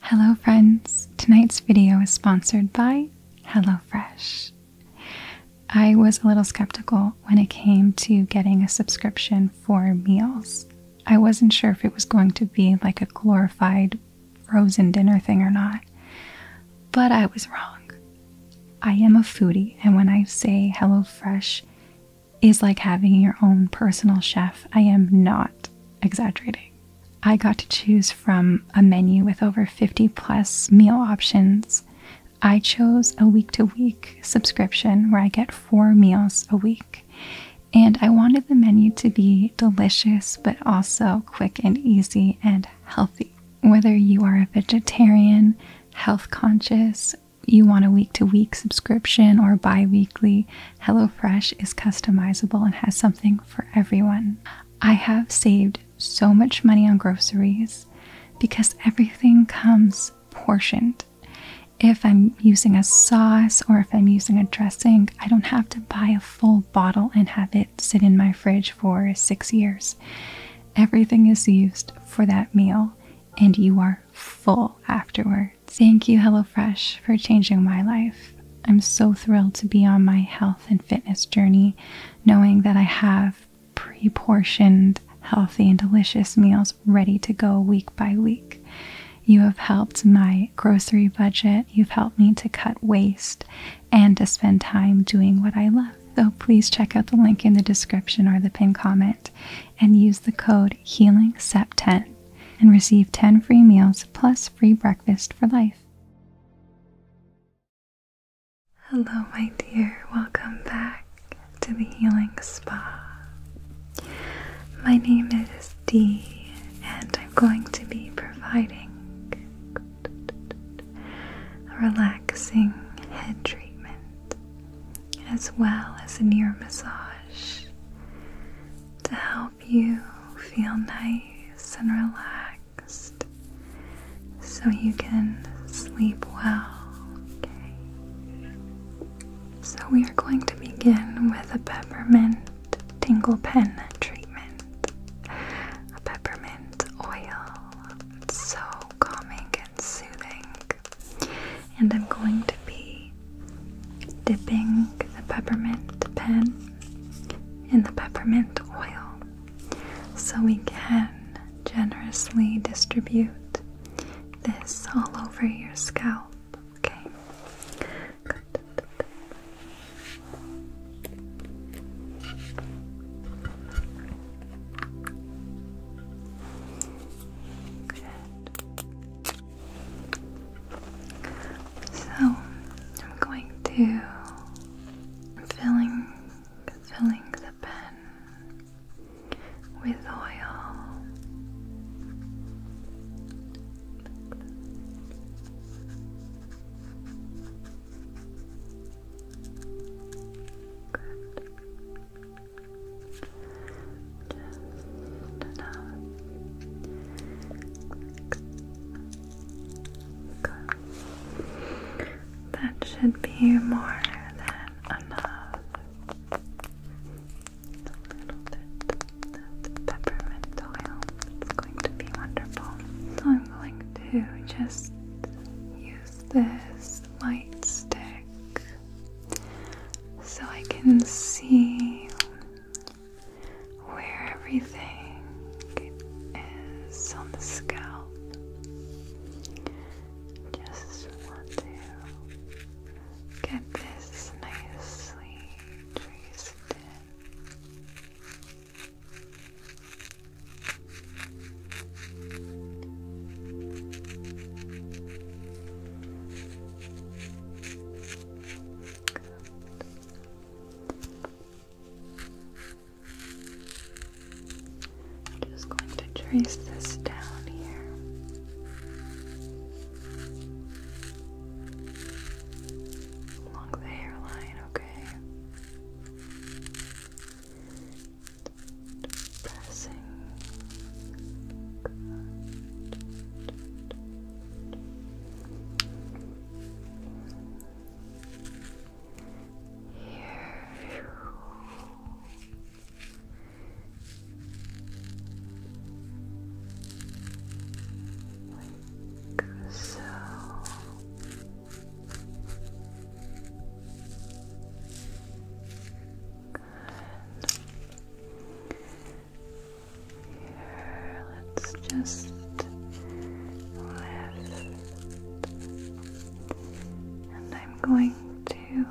Hello friends, tonight's video is sponsored by HelloFresh. I was a little skeptical when it came to getting a subscription for meals. I wasn't sure if it was going to be like a glorified frozen dinner thing or not, but I was wrong. I am a foodie, and when I say HelloFresh is like having your own personal chef, I am not exaggerating. I got to choose from a menu with over 50 plus meal options. I chose a week to week subscription where I get four meals a week. And I wanted the menu to be delicious, but also quick and easy and healthy. Whether you are a vegetarian, health conscious, you want a week to week subscription or bi weekly, HelloFresh is customizable and has something for everyone. I have saved so much money on groceries because everything comes portioned. If I'm using a sauce or if I'm using a dressing, I don't have to buy a full bottle and have it sit in my fridge for six years. Everything is used for that meal and you are full afterward. Thank you, HelloFresh, for changing my life. I'm so thrilled to be on my health and fitness journey, knowing that I have pre portioned, healthy, and delicious meals ready to go week by week. You have helped my grocery budget, you've helped me to cut waste, and to spend time doing what I love. So please check out the link in the description or the pin comment and use the code Healing Step 10 and receive 10 free meals plus free breakfast for life. Hello, my dear. Welcome back to the Healing Spa. My name is Dee, and I'm going to be providing a relaxing head treatment as well as a near massage to help you feel nice and relaxed so you can sleep well. So, we are going to begin with a peppermint tingle pen treatment. A peppermint oil. It's so calming and soothing. And I'm going to be dipping the peppermint pen in the peppermint oil so we can generously distribute this all over your scalp. Okay. So I'm going to filling filling the pen with oil. That should be more than enough. A little bit of peppermint oil. It's going to be wonderful. So I'm going to just use this light stick so I can see where everything is on the scalp. Just want to get this nicely traced in. I'm just going to trace this down here. Along the hairline, okay. Pressing. Here. so. Good. Let's just lift. And I'm going to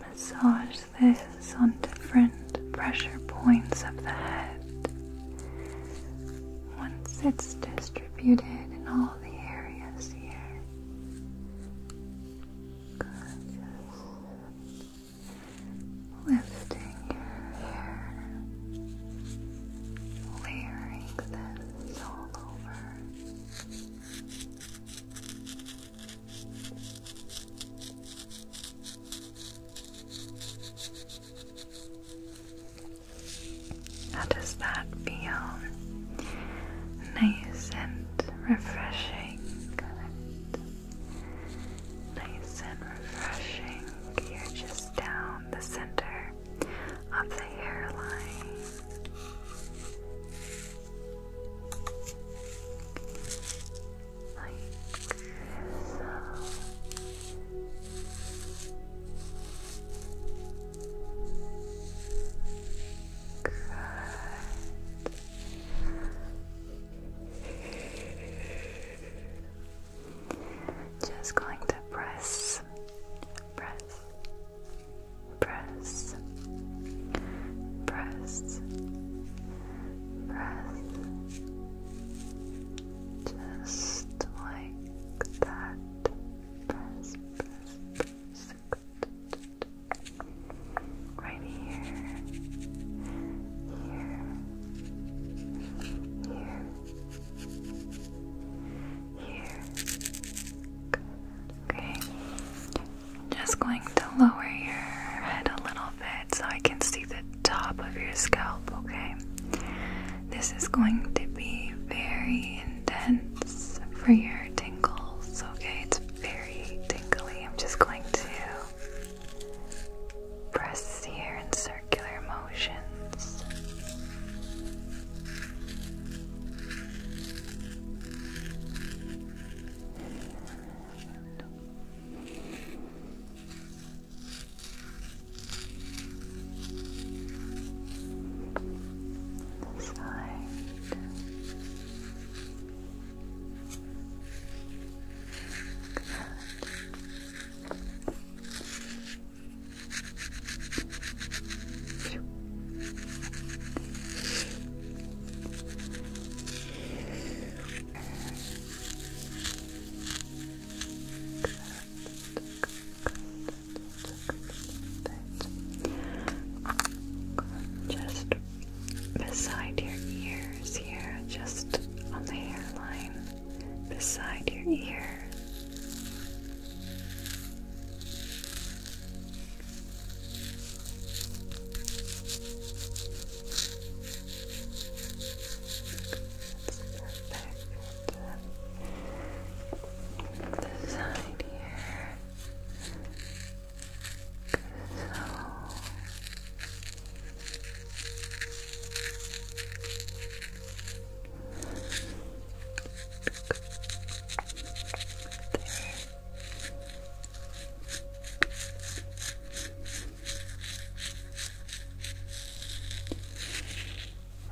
massage this on different pressure points of the head. Once it's distributed in all the areas here lifting your hair, layering this all over. How does that feel? Nice and refreshing Nice and refreshing here, just down the center of the hairline. Like so. Good. Just going to press, press, press, press, press, just like that. Press, press, Right here, here, here. Here. Okay. Just going to lower your head a little bit so I can see the top of your scalp, okay? This is going to be very intense for your tingles, okay? It's very tingly. I'm just going to Press here in circular motions. Side. Just beside your ears here, just on the hairline beside your ear. That's here. So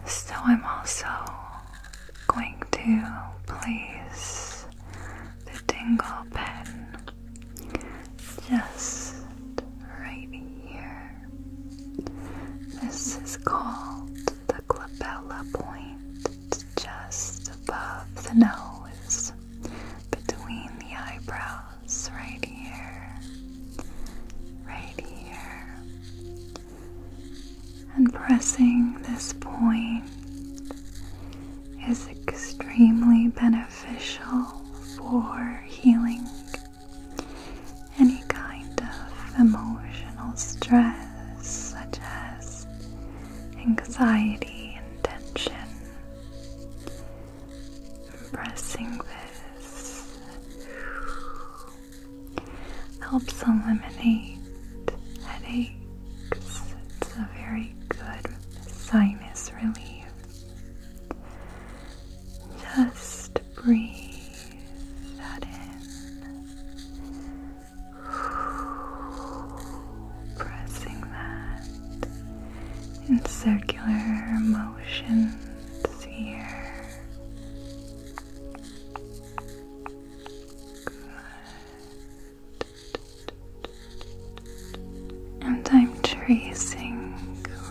so, I'm also going to please the dingle pen just right here. This is called the clavella point. just above the nose, between the eyebrows, right here, right here. And pressing this point is extremely beneficial for healing any kind of emotional stress, such as anxiety and tension. Pressing this helps eliminate headaches. It's a very good sinus relief. Just breathe that in, pressing that in circular motions here. Good. And I'm tracing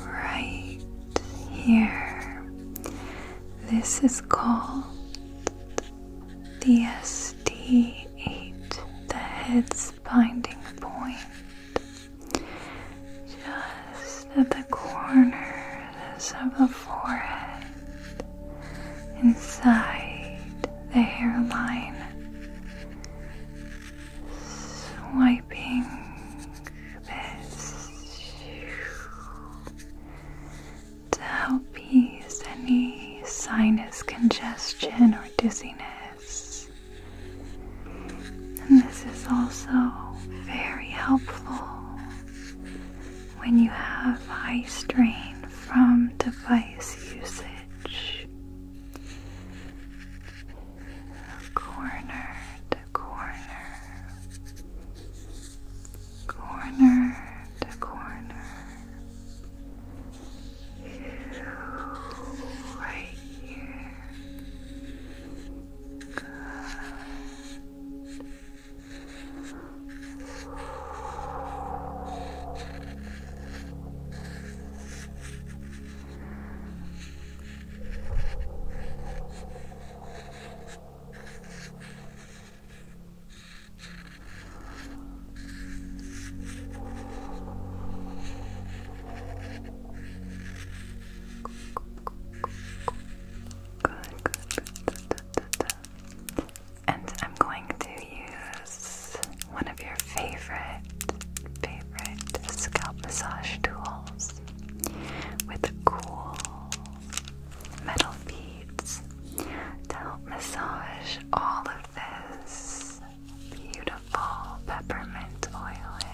right here. This is called the SD8, the head's binding point, just at the corners of the forehead, inside the hairline, swiping to help ease any sinus congestion or dizziness. And this is also very helpful when you have high strain from device usage corner to corner, corner to corner, right here. Good. And I'm going to use one of your favorite, favorite scalp massage tools surface with cool metal beads to help massage all of this beautiful peppermint oil in.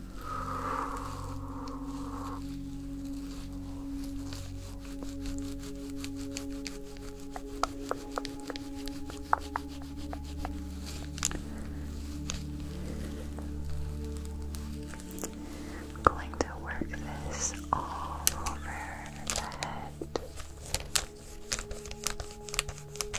I'm going to work this all over the head.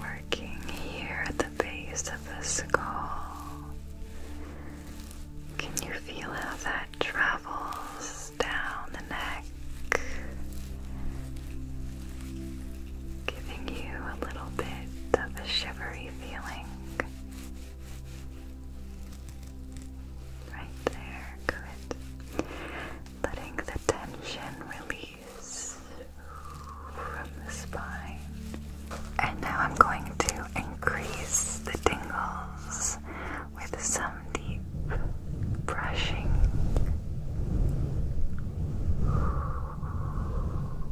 Working here at the base of the skull. Can you feel how that travels down the neck? Giving you a little bit of a shivery feeling. Right there, good. Letting the tension release from the spine. And now I'm going to increase the tingles with some deep brushing.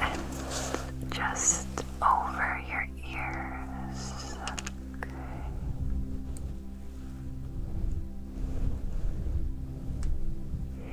And just over your ears.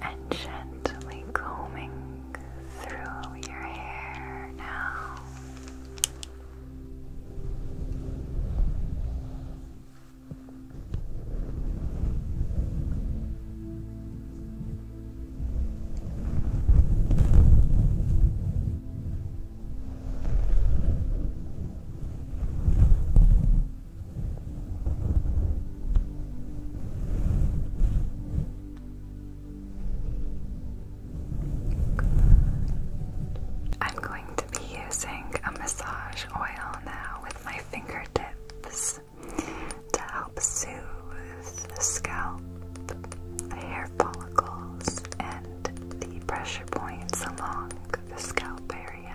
and gently combing through your hair now. I'm going to be using a massage oil now with my fingertips to help soothe the scalp, the hair follicles, and the pressure points along the scalp area.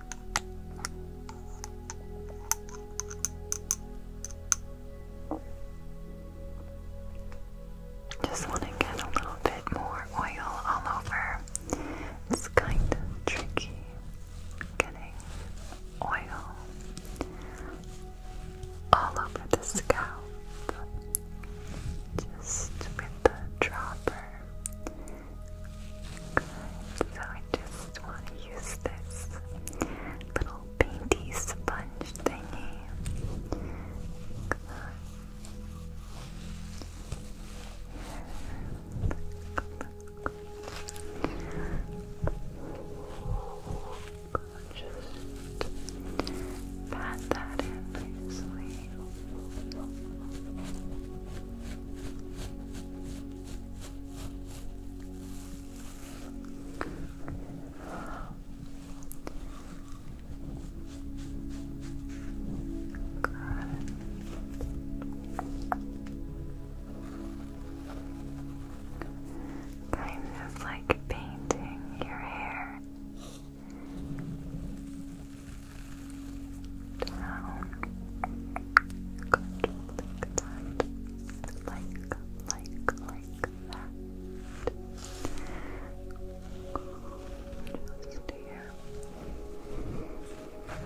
Just want to get a little bit more oil all over. It's kind of tricky getting oil all over the scalp just with the dropper. So I just want to use this little painty sponge thingy. Just pat that in nicely. Kind of like painting your hair down. Good. Like that. Like, like, like that. Just here. Okay.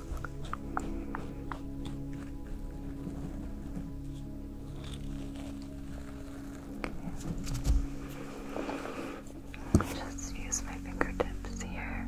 Just use my fingertips here.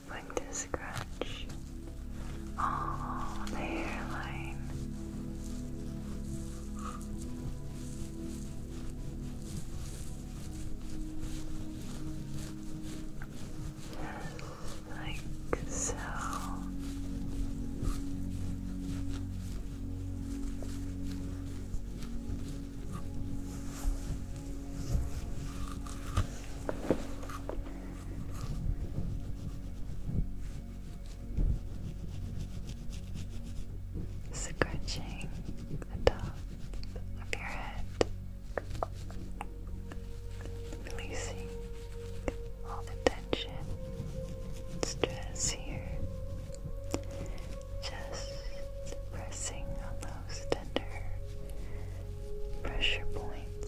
Like to scratch all the hairline. Just like so. Scratching the top of your head, releasing all the tension stress here. Just pressing on those tender pressure points.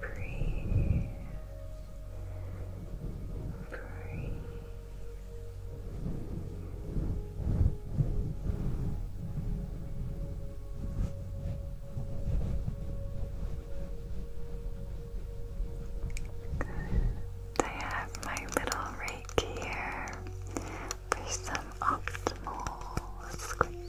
Breathe. Breathe. I have my little Reiki here for some optimal scratching.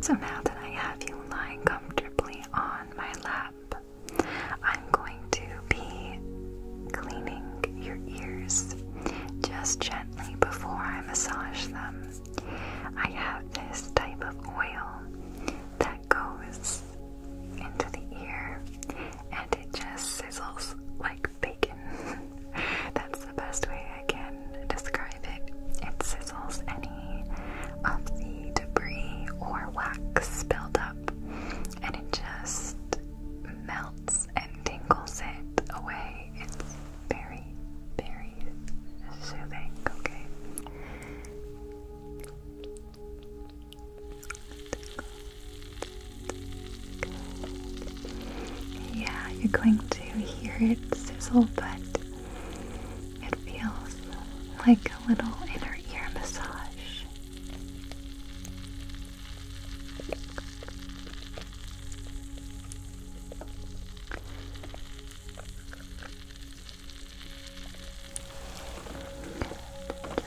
So now that I have you lying comfortably on my lap, I'm going to be cleaning your ears just gently before I massage them. I have this type of oil that goes into the ear and it just sizzles like bacon. That's the best way I can describe it. It sizzles any of the debris or wax spilled up, and it just melts and tingles it away. It's very, very soothing, okay? Yeah, you're going to hear it sizzle, but it feels like a little inner ear massage.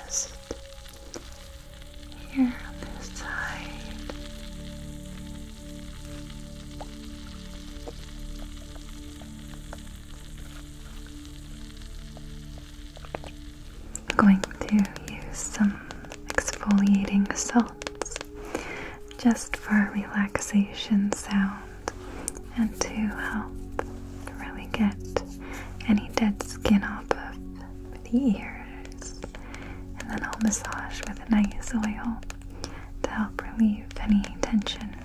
Just here on this side. I'm going to use some exfoliating salts just for relaxation sound and to help really get any dead skin off of the ears and then I'll massage with a nice oil to help relieve any tension.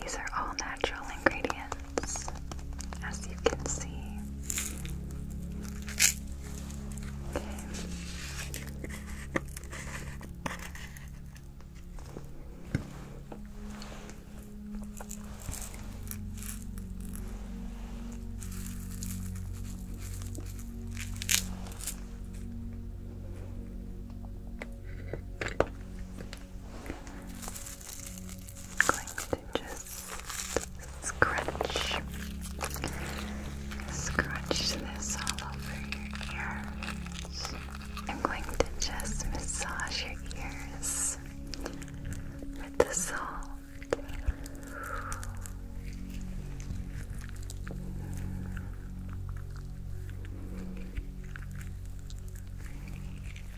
These are all natural ingredients, as you can see going to just scratch, scratch this all over your ears. I'm going to just massage your ears with the salt.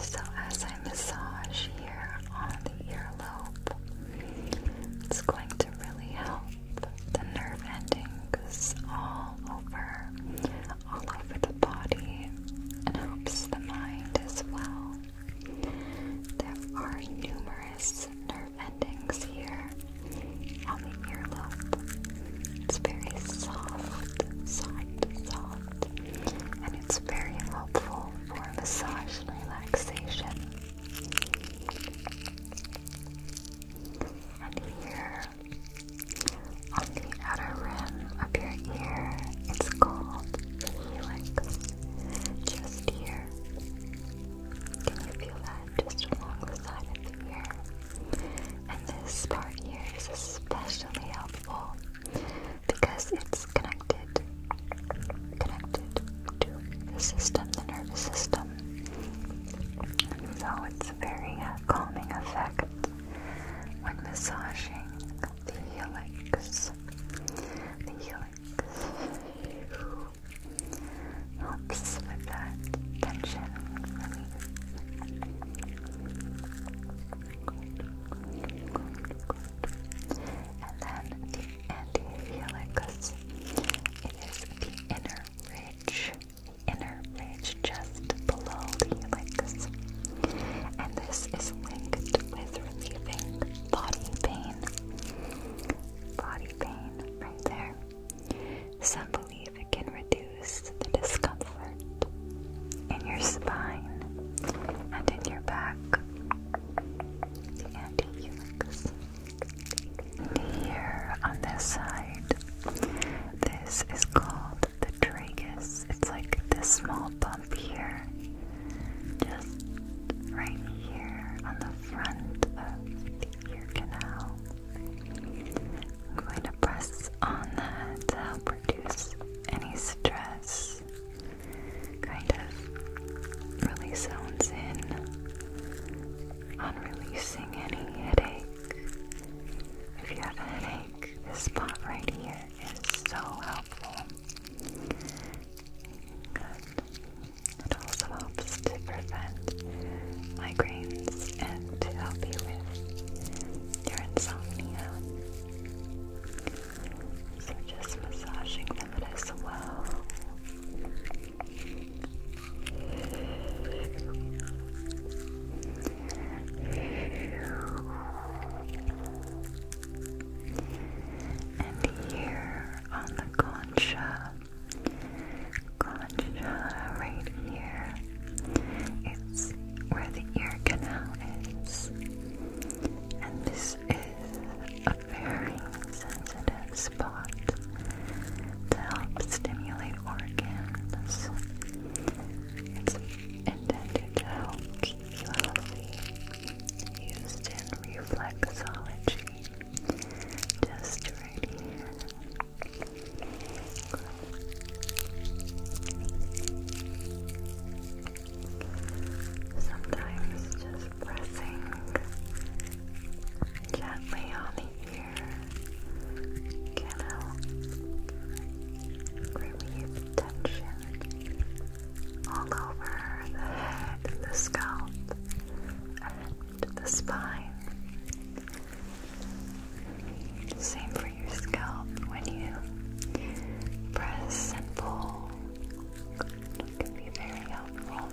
So, as I massage here on the earlobe, it's going to really help the nerve endings all over all over the body and helps the mind as well. There are numerous nerve endings here on the earlobe. It's very soft, soft, soft, and it's very helpful for massage and relaxation. And here on the outer rim of your ear, it's called the helix. Just here. Can you feel that just along the side of the ear? And this part here is especially helpful because it's connected connected to the system, the nervous system. So it's a very uh, calming effect when massaging the helix, the helix helps with that tension And then the anti-helix, it is the inner ridge, the inner ridge just below the helix and this is linked with relieving body pain. Body pain right there. Some believe it can reduce the discomfort in your spine and in your back. Here on this side, this is called the tragus. It's like this small bump here, just right here on the front of the ear canal. I'm going to press on that to help reduce any stress. Kind of really zones in on releasing any headache. If you have a headache, this spot right here it is so helpful. It also helps to prevent migraines and to help you with your insomnia. So just massaging that as well. And here on the concha, concha right here, it's where the ear canal is. And this is a very sensitive spot to help stimulate organs. It's intended to help ULC used in reflexology. Just right here. Sometimes just pressing gently on the ear can help relieve tension all over the head and the scalp and the spine. Same for your scalp when you press and pull. can be very helpful.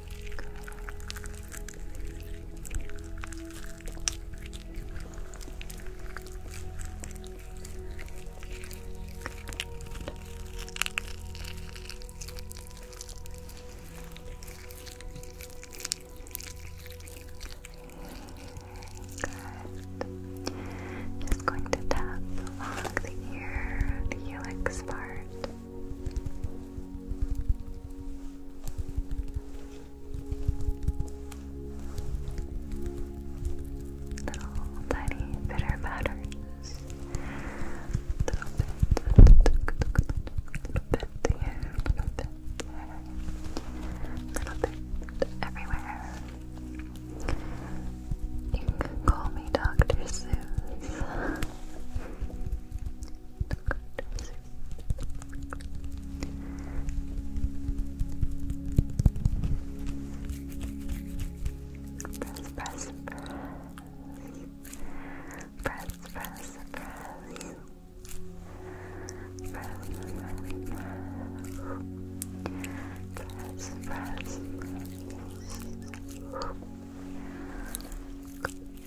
Good. Just going to tap along the ear, helix part. Little tiny bitter patterns. Little bit, little bit here, little bit little bit everywhere. You can call me Dr. Seuss. Press, press, press. Press, press, press. Press, press, press. Press, press, press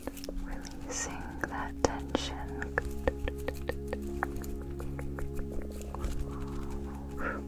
releasing that tension. Perfect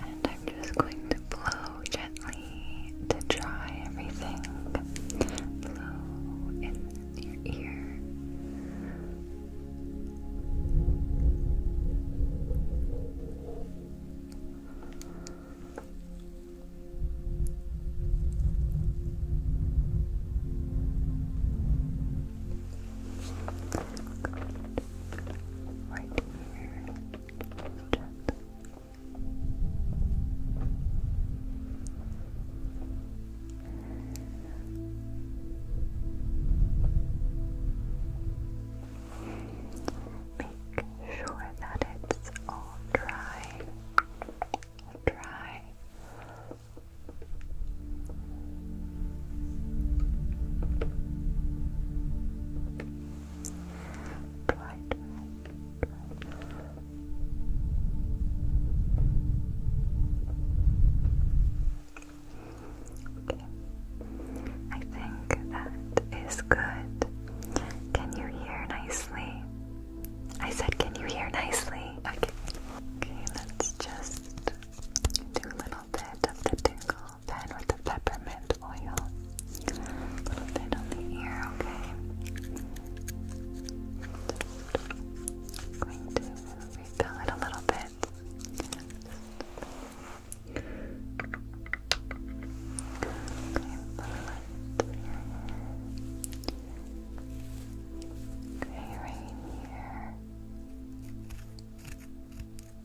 and I'm just going to blow gently to dry everything. Blow in your ear. Right here. Make sure that it's all dry. Dry. I think that is good. Can you hear nicely? I said, can you hear nicely? Okay. Okay, let's just do a little bit of the tingle oil, then with the peppermint oil. A little bit on the ear, okay? going to refill it a little bit. Okay, right here. That's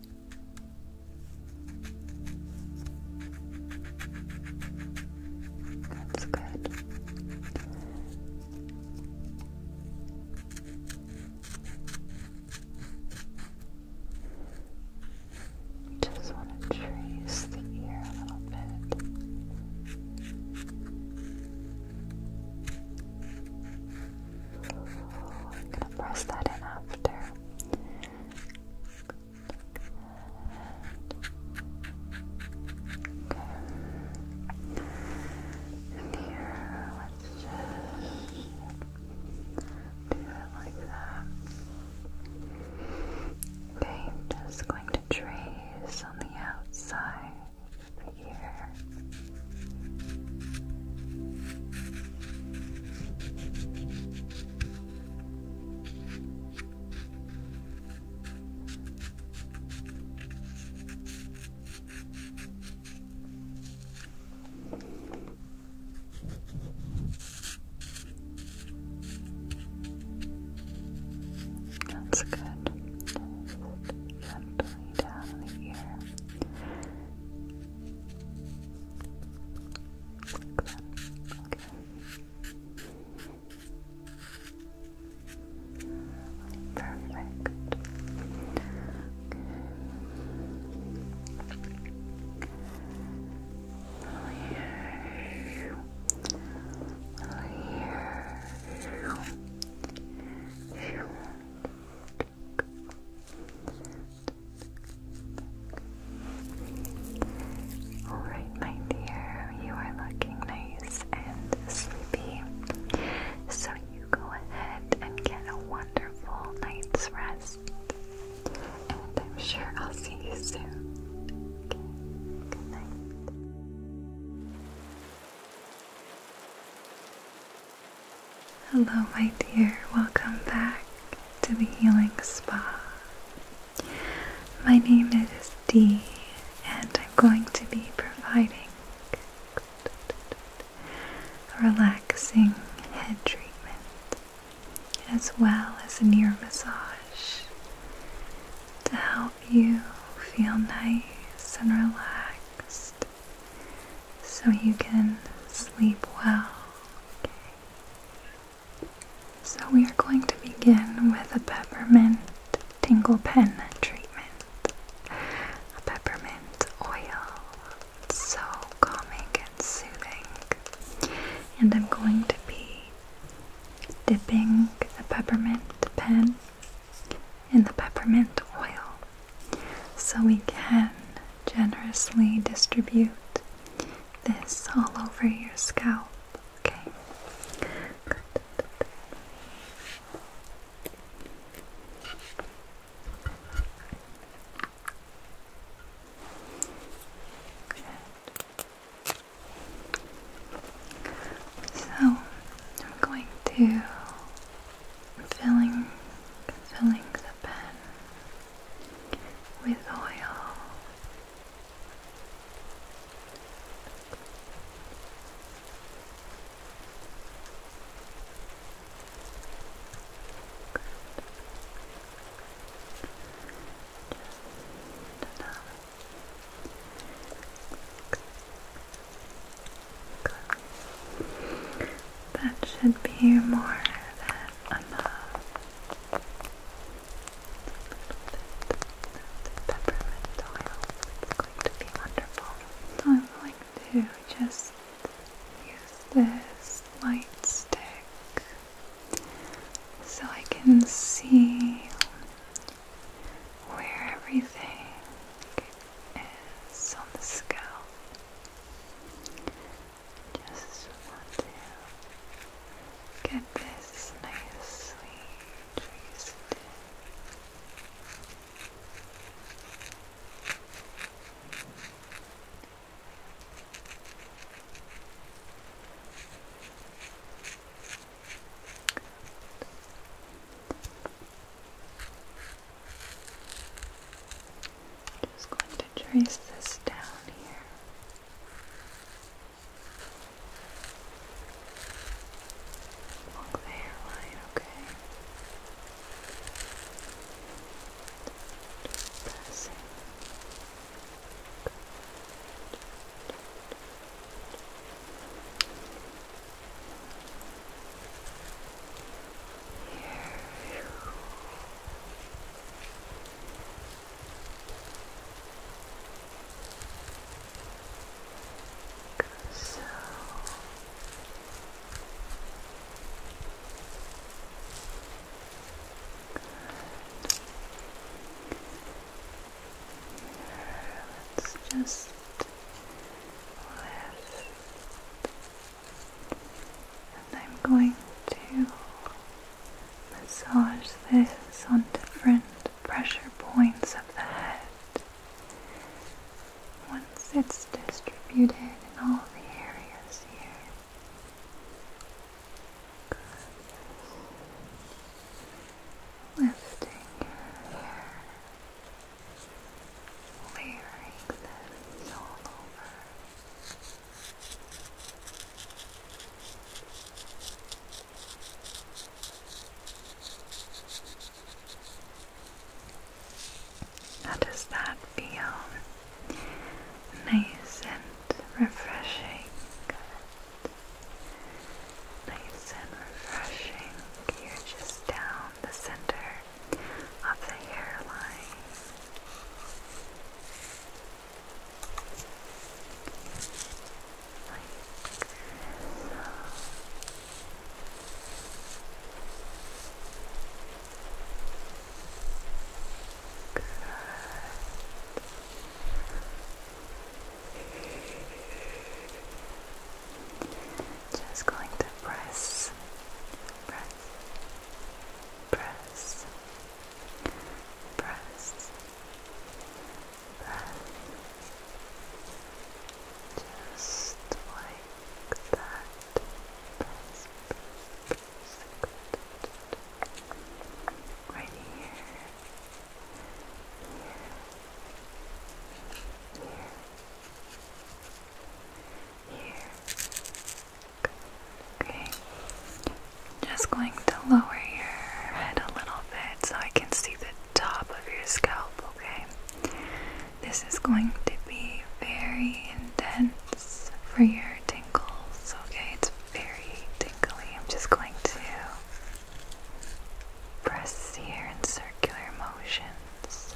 good. Just want to trace the ear a little bit. I'm going to press that in after. And here, let's just do it like that. Okay, just going to trace on the outside here. That's good. Just gently down the ear. Perfect. Here. Here. Here. Alright, my dear, you are looking nice and sleepy. So you go ahead and get a wonderful night's rest. And I'm sure I'll see you soon. good night. Hello, my dear. Welcome back to the Healing Spa. My name is Dee, and I'm going to be providing a relaxing head treatment as well as a ear massage to help you feel nice and relaxed so you can sleep well. So we are going to begin with a peppermint tingle pen treatment. A peppermint oil. It's so calming and soothing. And I'm going to be dipping the peppermint pen in the peppermint oil so we can generously distribute this all over your scalp. Okay. So I'm going to filling filling the pen with oil. That should be more than and uh, the peppermint oil. It's going to be wonderful. I'm going to just use this light stick so I can see where everything is on the scalp. Just want to get this nicely traced just going to trace this down here. Along the hairline, okay. Just pressing. Here. So let's just lift, and I'm going to Massage this on different pressure points of the head. Once it's distributed in all the areas here. Lifting your this all over. How does that feel? Nice and refreshing. Nice and refreshing. You're just down the center of the hairline. Just going to press, press, press, press, press, just like that. Press, press, Right here, here, here, here. Okay. Just going to lower your head a little bit so I can see the top of your scalp, okay? This is going to be very intense for your tingles, okay? It's very tingly. I'm just going to press here in circular motions.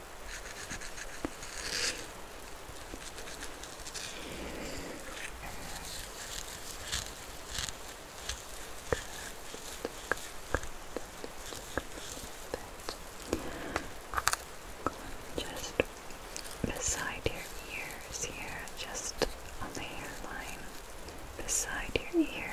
Just beside your ears here, just on the hairline, beside your ear.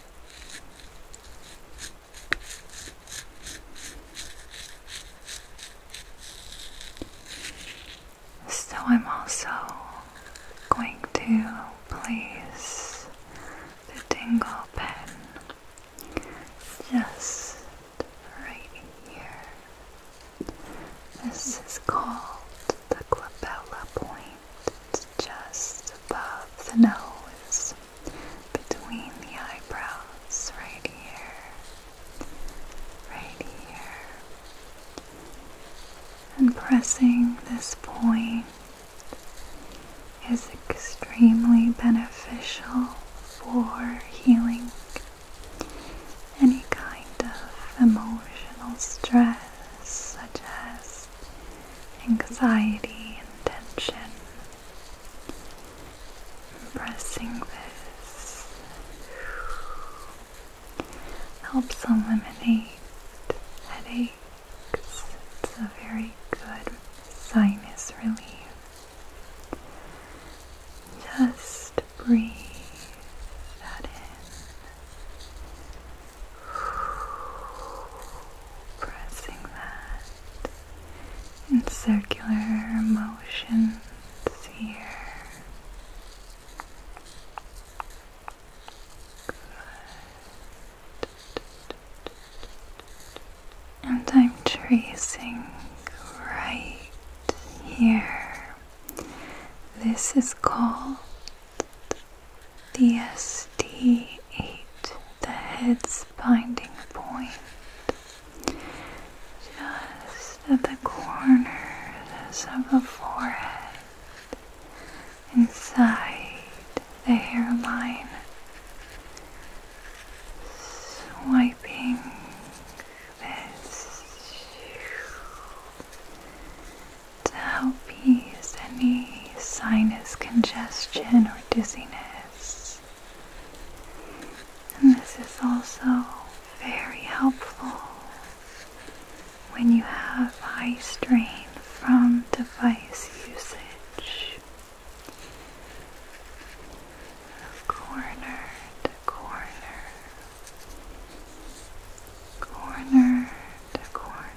So, I'm also going to place the dingle pen just right here. This is called the glabella point just above the nose, between the eyebrows, right here, right here. And pressing this point is extremely beneficial for healing any kind of emotional stress, such as anxiety and tension. Pressing this helps eliminate headaches. It's a very good sinus relief. Just breathe that in. Pressing that in circular motions here. And I'm tracing right here. This is called the SD8, the head's binding point, just at the corners of the forehead, inside the hairline, swiping this to help ease any sinus congestion or dizziness. And this is also very helpful when you have eye strain from device usage. Corner to corner, corner to corner.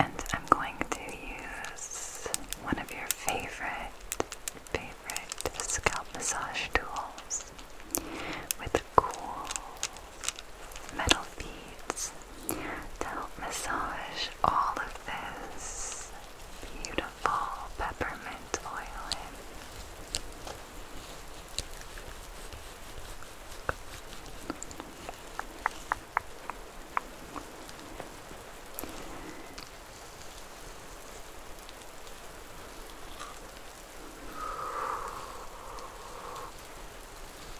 And I'm going to use one of your favorite, favorite scalp massage tools with cool metal beads to help massage all of this beautiful peppermint oil in.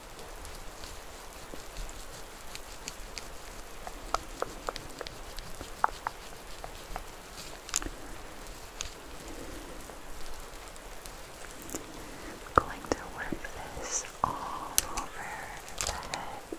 I'm going to work this all over the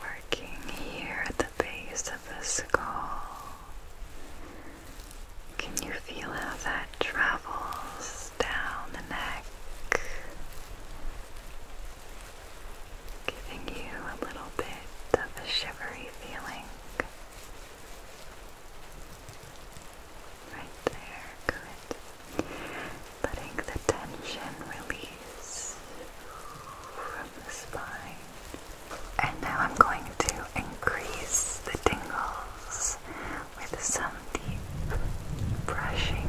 Working here at the base of the skull. Can you feel how that travels down the neck? Giving you a little bit of a shivery feeling. Right there, it, letting the tension release from the spine. And now I'm going to increase the tingles with some deep brushing.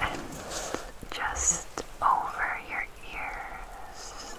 And just over your ears.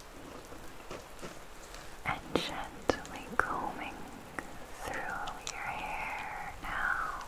and gently combing through your hair now.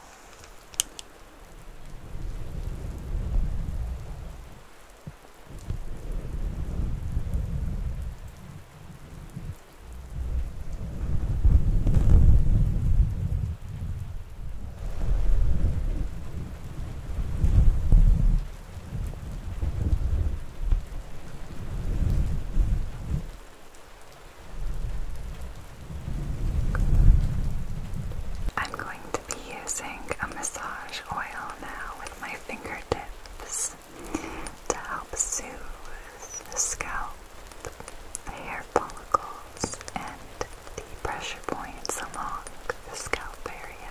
I'm going to be using a massage oil now with my fingertips to help soothe the scalp, the hair follicles, and the pressure points along the scalp area.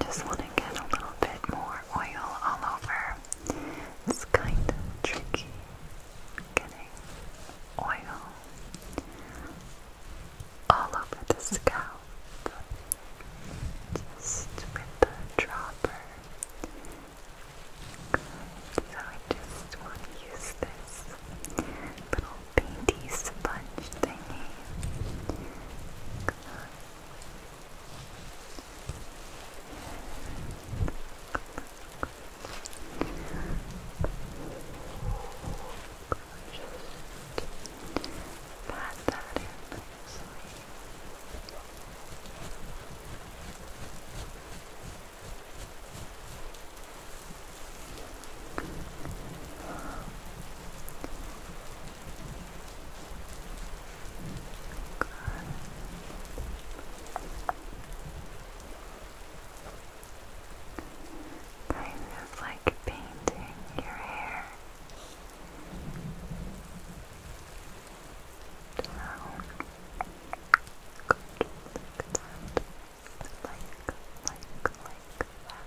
Just want to get a little bit more oil all over. It's kind of tricky getting oil all over the scalp. Just with the dropper. So I just want to use this little painty sponge thingy. Just pat that in nicely. Kind of like painting your hair down. Like, like, like that.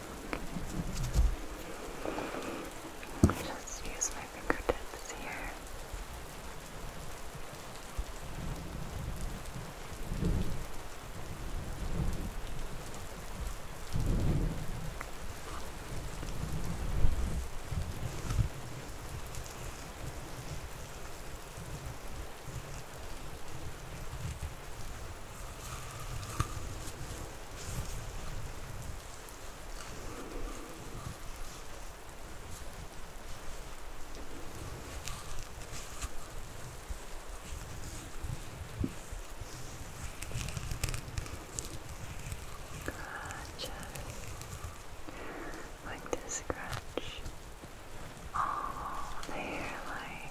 Just use my fingertips here. Scratch like to scratch all the hairline.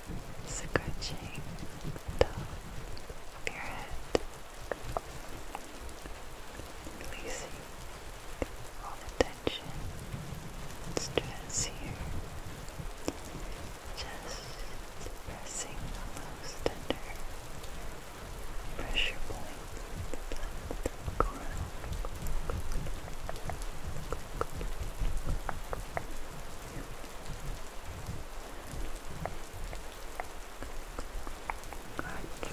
scratching the top releasing all the tension stress here. Just pressing on those tender pressure points that go around. Crunch, crunch, crunch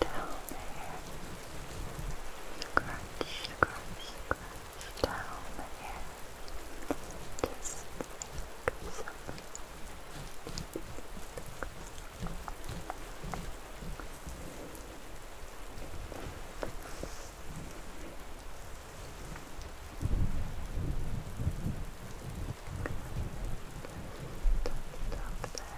down there. Crunch, crunch, crunch down there. Just like so. Stop that.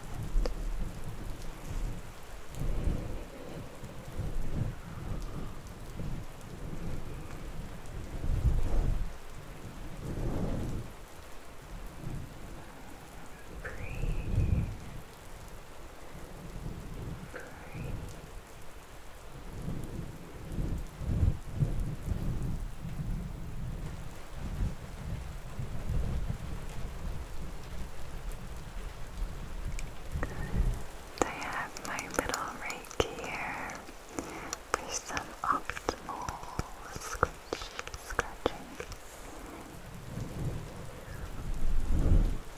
Breathe. Breathe. I have my little Reiki here for some optimal scratching.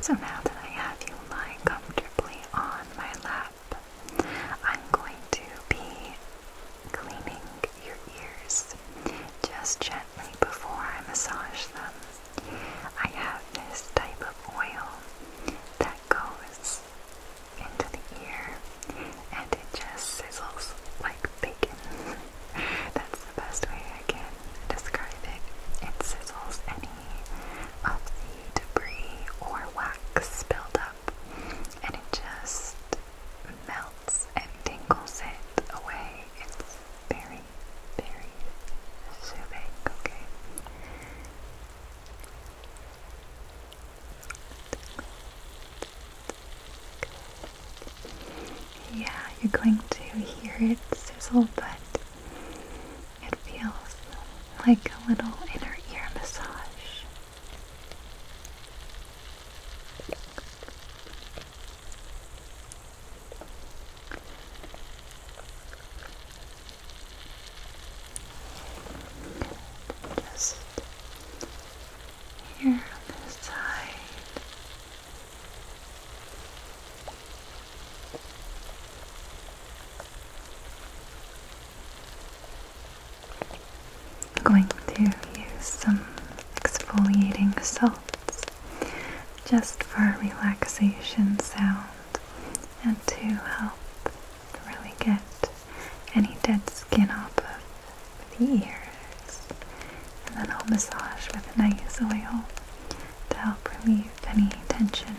So now that I have you lying comfortably on my lap, I'm going to be cleaning your ears just gently before I massage them. I have this type of oil that goes into the ear and it just sizzles like bacon. That's the best way I can describe it. It sizzles any of the debris or wax spilled up and it just melts and tingles it away. It's very, very soothing, okay? Yeah, you're going to hear it sizzle, but it feels like a little inner ear massage. Just here this side. I'm going to use some exfoliating salts just for relaxation sound and to help really get any dead skin off of the ears. And then I'll massage with a nice oil to help relieve any tension.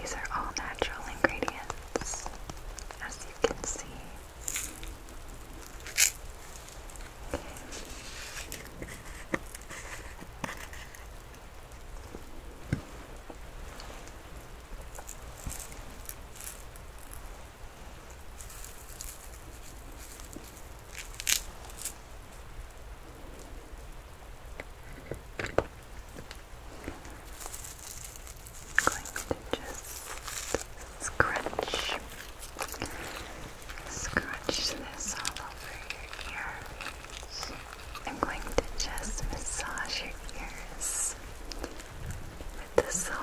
These are all natural ingredients, as you can see. I'm going to just scratch scrunch this all over your ears. I'm going to just massage your ears with the salt.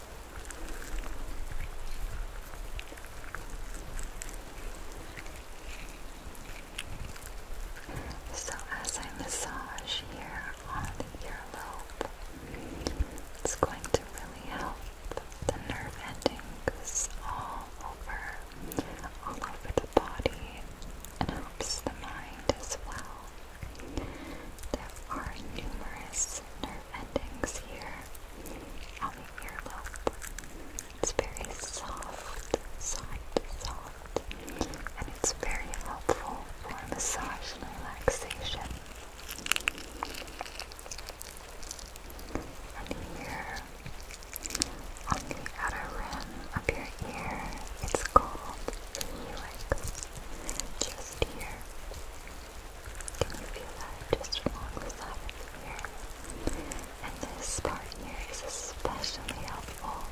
So, as I massage here on the earlobe, it's going to really help the nerve endings all over, all over the body, and helps the mind as well. There are numerous nerve endings here on the earlobe. It's very soft, soft, soft, and it's very helpful for massage and relaxation. And here on the outer rim of your ear, it's called the helix. Just here. Can you feel that just along the side of And this part here is especially helpful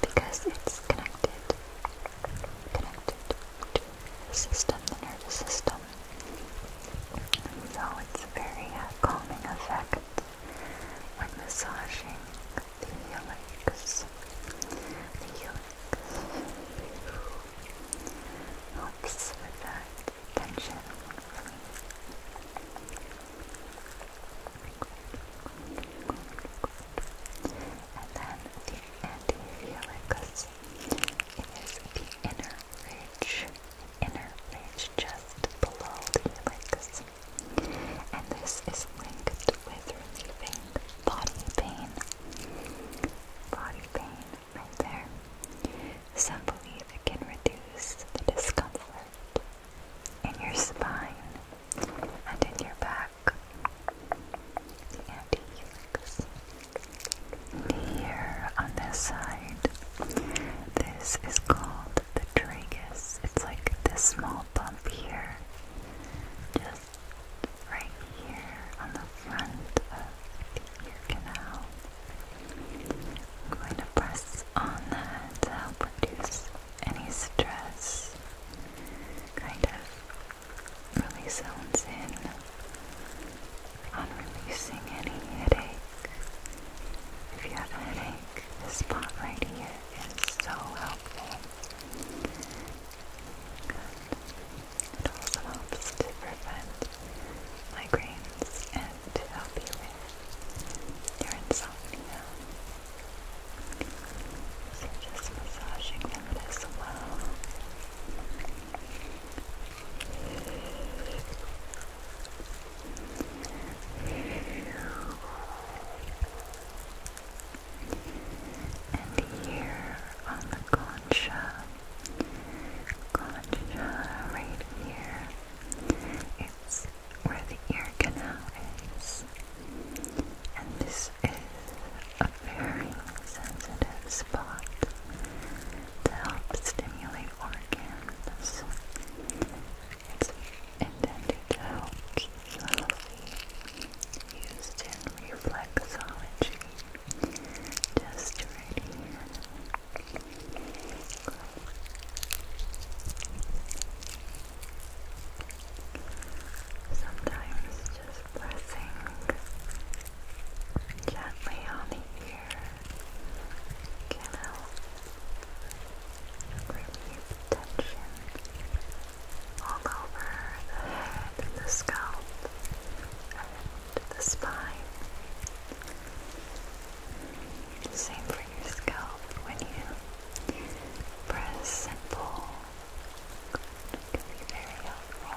because it's connected, connected to the system, the nervous system. So it's very calming effect when massaging the helix. The helix helps with that tension. And then the antifelicus. It is the inner ridge, inner ridge just below the helix. And this is linked with relieving body pain. Body pain right there. Some believe it can reduce the discomfort in your spine and in your back. The anti-helix. Here on this side, this is called the tragus. It's like this small bump here, just right here on the front of ear canal. I'm going to press on that to help reduce any stress. Kind of really zones in on releasing any headache. If you have a headache, this spot right here is so helpful. It also helps prevent migraines and to help you with your insomnia. So just massaging them as well. And here on the concha, Concha right here. where the ear canal is. And this is a very sensitive spot to help stimulate organs. It's intended to help keep you healthy. Used in reflexology. Just right here. Sometimes just pressing gently on the ear can help relieve tension all over the head and the scalp to the spine. Same for your scalp when you press and pull. It can be very helpful.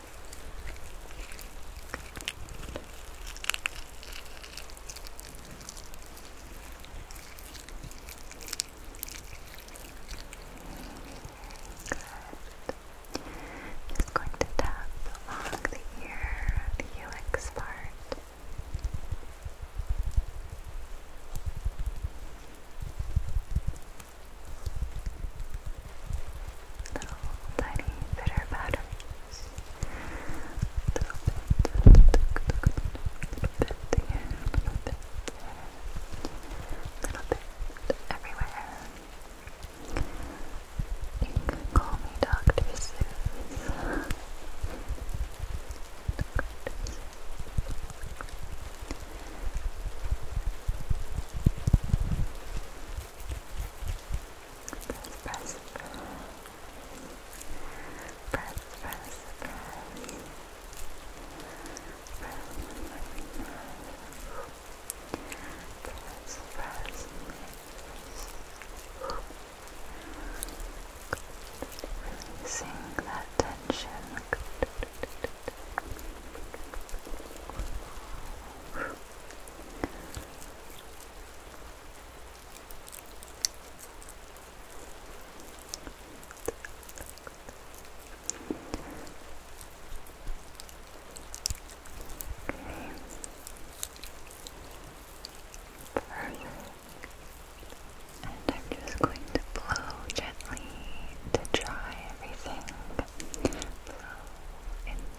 Just going to tap along the ear, the helix part little tiny bitter batteries. little bit, little bit here, a little bit little bit everywhere. You can call me Dr. Seuss press, press, press, press, press, press, press, press. Releasing that tension. Good. And I'm just going to blow gently to dry everything. Blow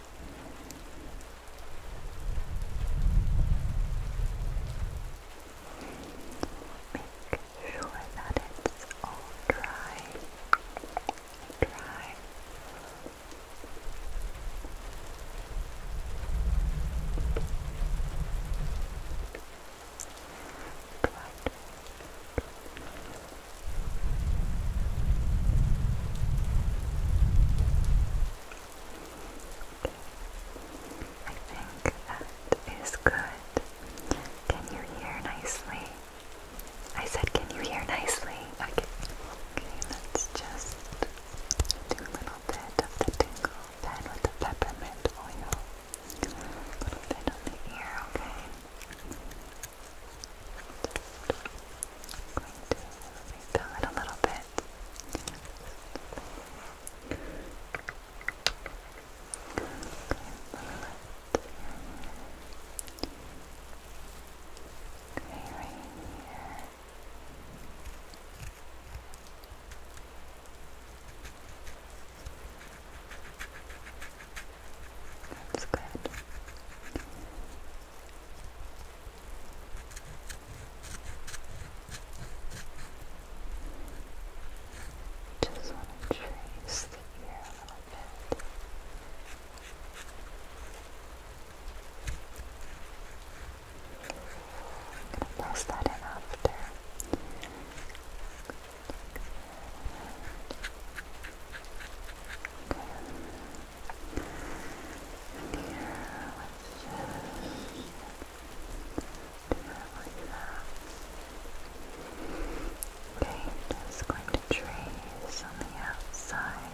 Make sure that it's all dry. Dry. But think that is good. Can you hear nicely? I said, can you hear nicely? Okay, okay let's just do a little bit of the tingle pen with the peppermint oil. A little bit on the ear, okay? I'm going to refill it a little bit. Okay, right here. That's good. Just want to trace the ear a little bit. I'm going to press that in after. And here, let's just do it like that. Okay, just going to trace on the outside here.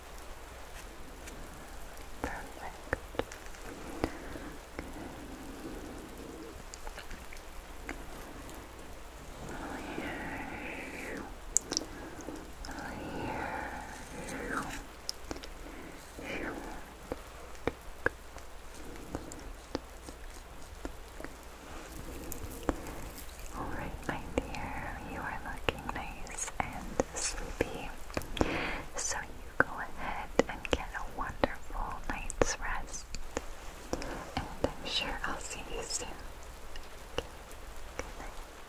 Perfect. Okay. Over here. Over here. All right, my dear, you are looking nice and sleepy. So you go ahead and get a wonderful night's rest. And I'm sure I'll see you soon. Good night.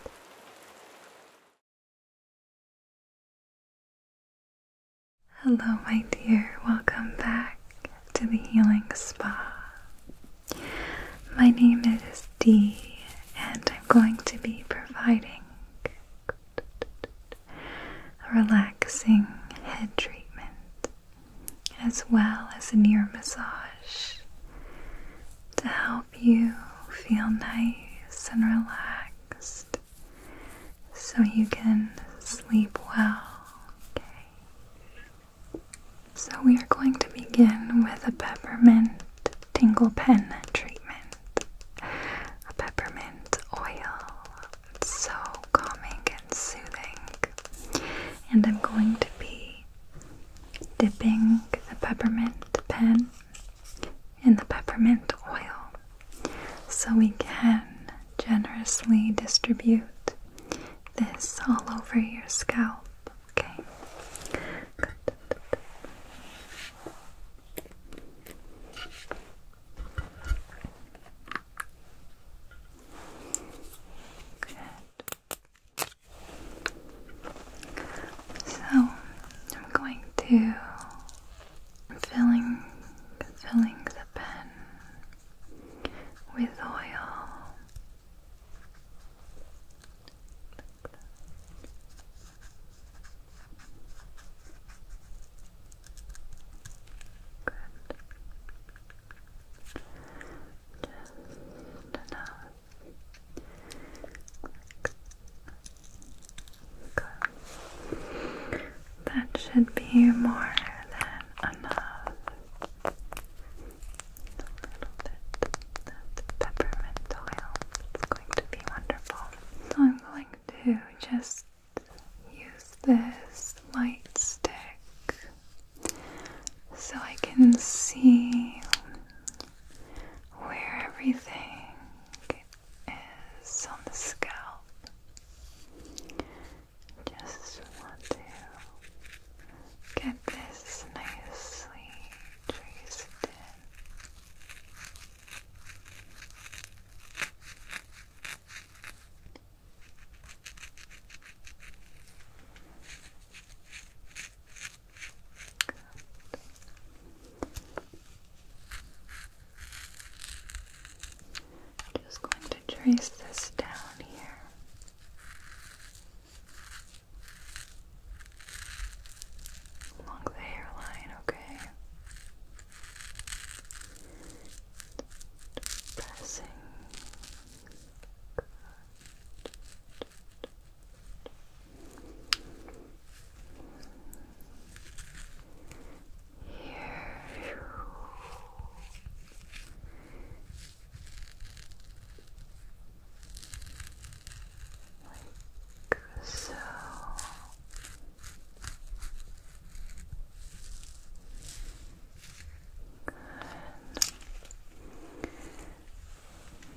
Hello, my dear. Welcome back to the Healing Spa. My name is D, and I'm going to be providing a relaxing head treatment as well as a ear massage to help you feel nice and relaxed so you can sleep well. So we are going to begin with a peppermint tingle pen treatment, a peppermint oil. It's so calming and soothing. And I'm going to be dipping the peppermint pen in the peppermint oil so we can generously distribute this all over your scalp. Okay. So I'm going to filling filling the pen with oil that. That should be more than enough. A little bit of peppermint oil. It's going to be wonderful. So I'm going to just use this light stick so I can see where everything is on the scalp. Just want to get this nicely traced in. I'm just going to trace this down here along the hairline, okay? Pressing. Good. Here so.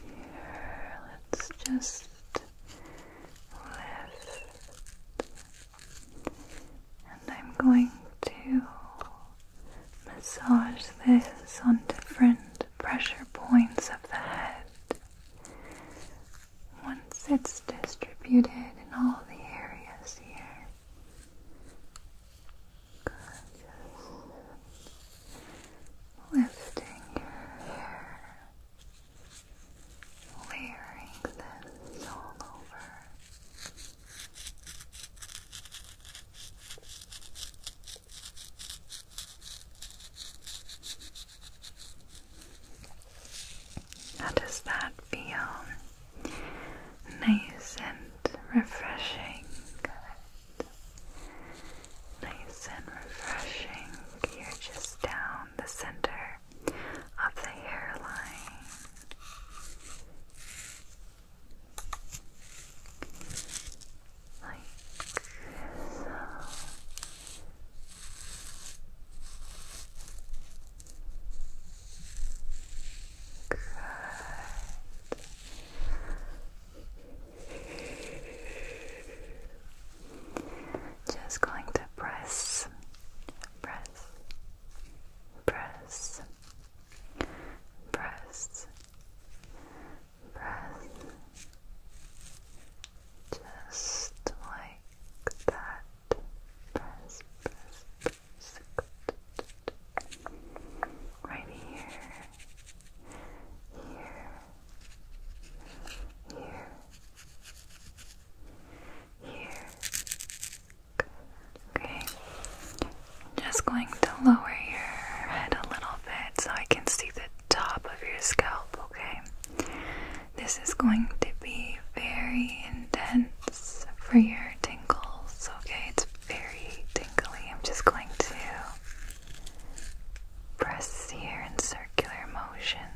Here, let's just lift. And I'm going to massage this on different pressure points of the head once it's distributed in all the areas here. Just lifting your hair, layering this all over. How does that feel? Nice and refreshing. Nice and refreshing. You're just down the center of the hairline. Like so. Just going to press, press, press, press, press, just like that. Press, press, Right here. Here. Here. Here. Okay. just going to lower your head a little bit so I can see the top of your scalp, okay? This is going to be very intense for your tingles, okay? It's very tingly. I'm just going to press here in circular motions.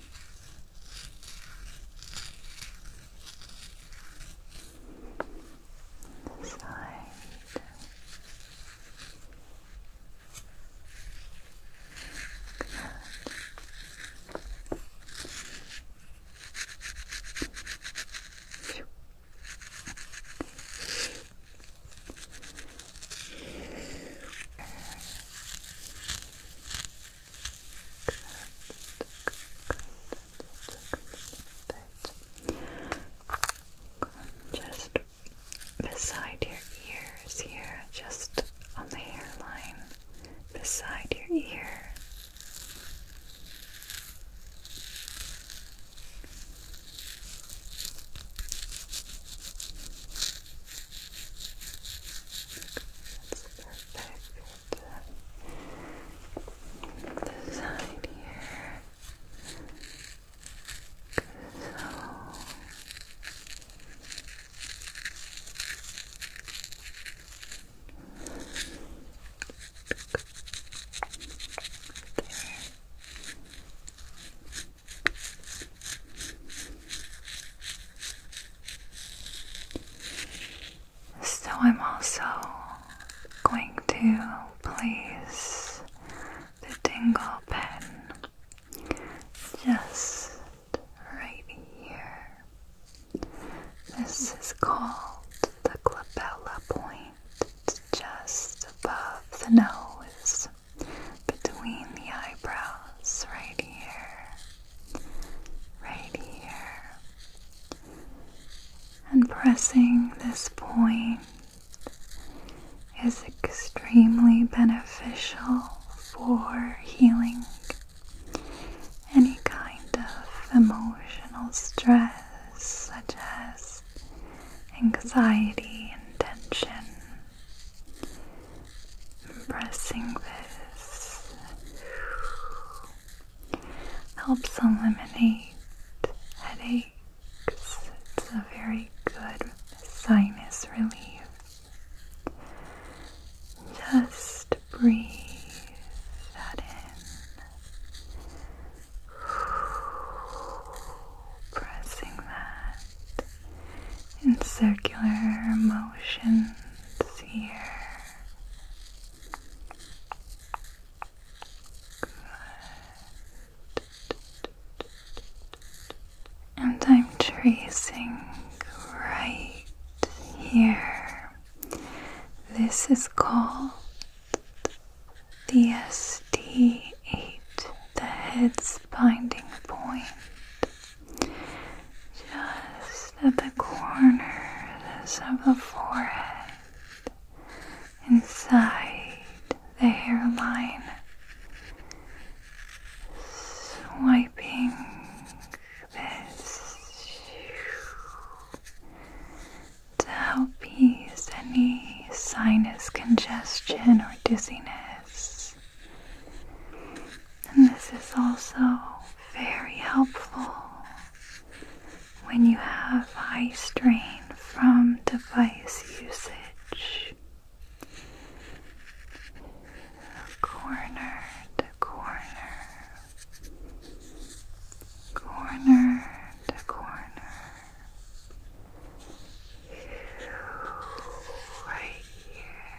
This side. Good. Phew. Good. Just beside your ears here, just on the hairline, beside your ear the side here. So there. So, I'm also going to place the dingle pen just right here. This is called the glabella point, it's just above the nose, between the eyebrows, right here right here, and pressing this point is extremely beneficial for healing any kind of emotional stress, such as anxiety and tension pressing this helps eliminate headaches. It's a very good sinus relief. Just breathe that in. Pressing that in circular motions here. And I'm tracing right here. This is called the SD8, the head's binding point just at the corners of the forehead, inside the hairline, swiping this to help ease any sinus congestion or dizziness. And this is also very helpful when you have eye strain from device usage. Corner to corner, corner to corner, right here.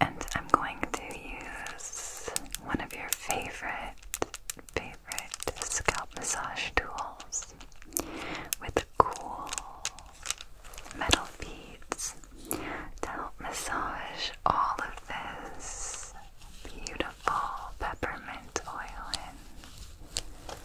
And I'm going to use one of your favorite, favorite scalp massage tools with cool metal beads to help massage all of this beautiful peppermint oil in.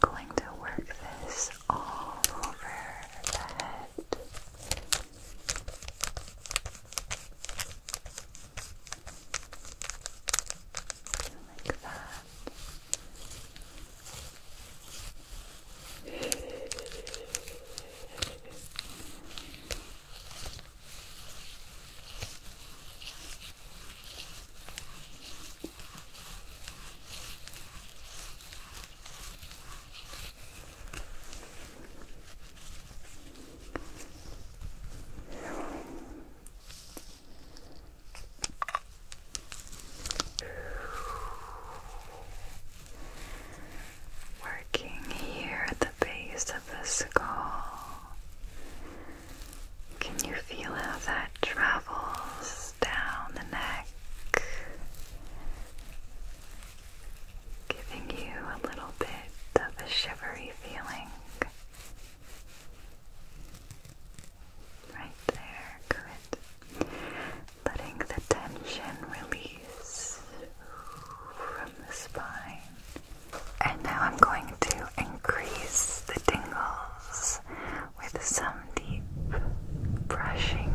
I'm going to work this all over the head. Like that. Working here at the base of the skull can you feel how that travels down the neck? Giving you a little bit of a shivery feeling. Right there, good. Letting the tension release from the spine and now I'm going to increase the tingles with some deep brushing.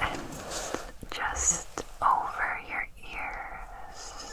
and just over your ears.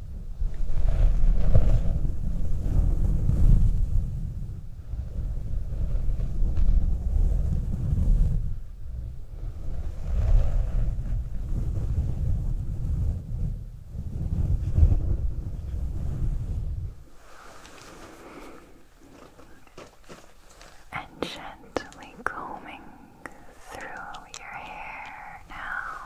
And gently combing through your hair now.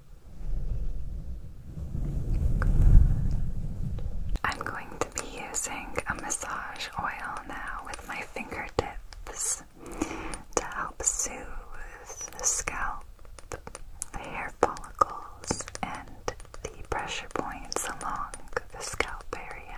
I'm going to be using a massage oil now with my finger tips to help soothe the scalp, the hair follicles, and the pressure points along the scalp area.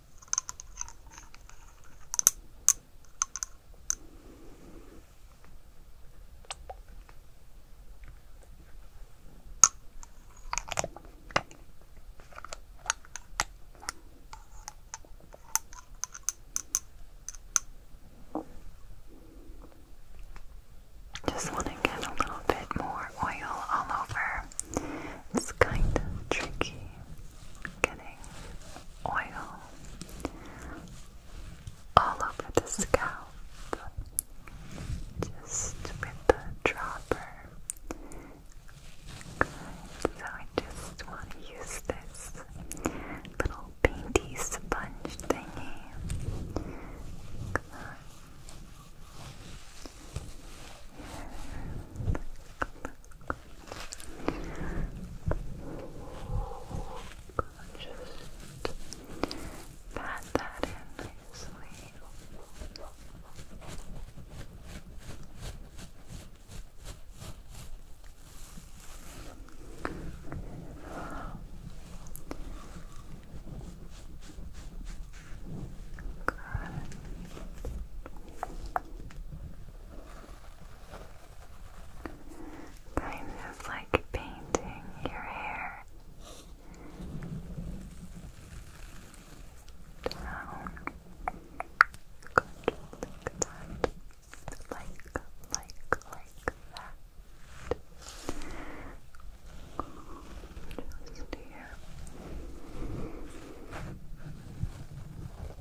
Just want to get a little bit more oil all over. It's kind of tricky getting oil all over the scalp just with the dropper. So I just want to use this little painty sponge thingy. Just pat that in nicely. Good. Kind of like painting your hair down. Good, Like, like, like that. Just here.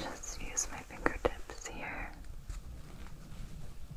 Just use my fingertips here.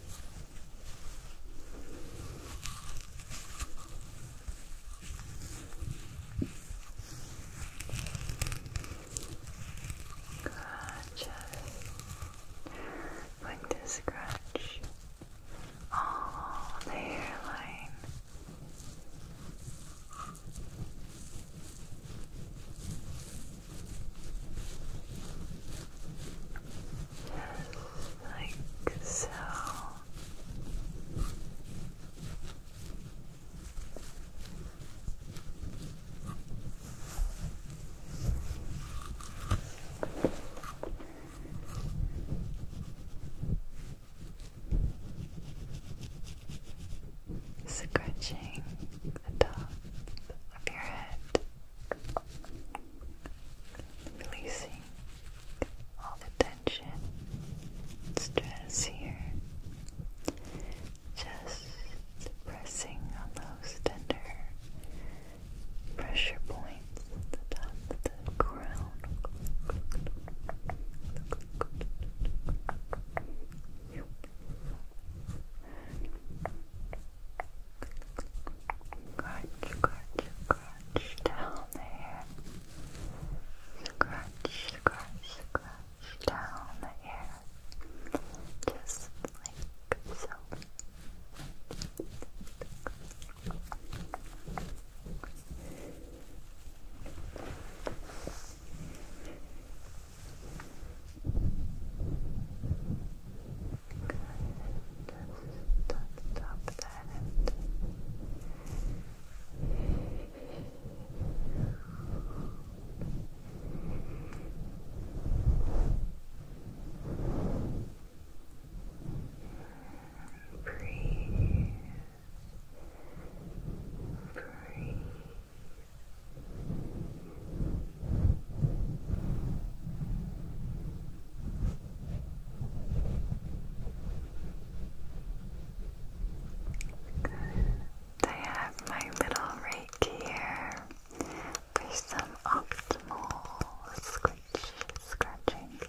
Good, just going to scratch all the hairline. Just like so. Scratching the top of your head, releasing all the tension, stress here. Just pressing on those tender pressure points at the crown. Crunch, crunch, crunch scratch down there. Scratch, scratch, scratch down the hair. Just like so stop that breathe Breathe. I have my little rake here for some optimal scratch scratching. Good.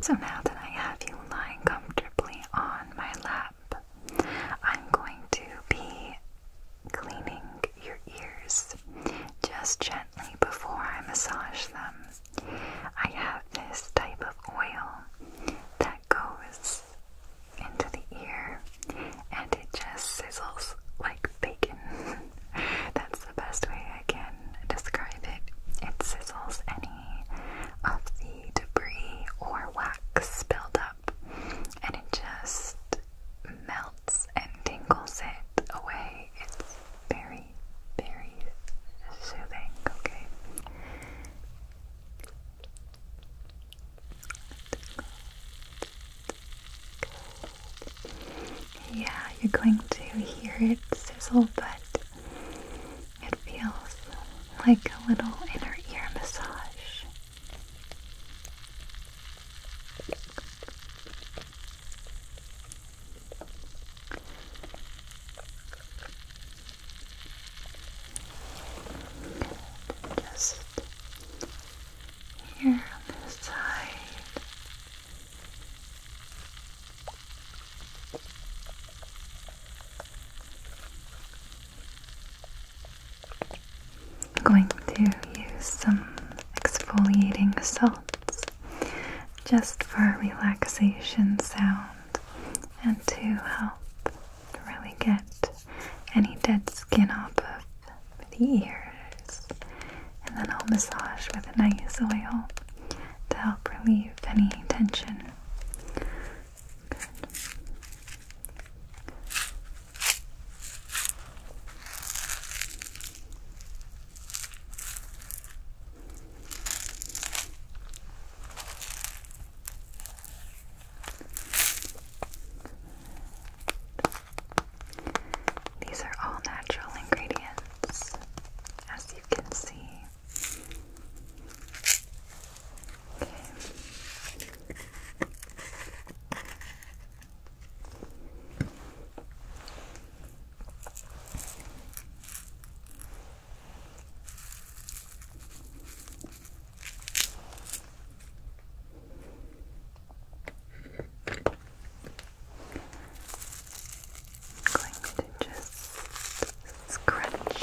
So now that I have you lying comfortably on my lap, I'm going to be cleaning your ears just gently before I massage them. I have this type of oil that goes into the ear and it just sizzles like bacon. That's the best way I can describe it. It sizzles any of the debris or wax built up and it just melts and tingles it away. It's very very, soothing, okay? Yeah, you're going to hear it sizzle, but it feels like a little inner ear massage just here on this side. I'm going to use some exfoliating salts just for a relaxation sound and to help really get any dead skin off of the ears. And then I'll massage with a nice oil to help relieve any tension. These are all natural ingredients, as you can see going to just scratch,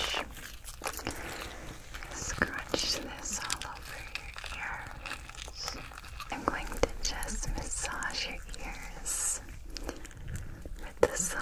scratch this all over your ears. I'm going to just massage your ears with the salt.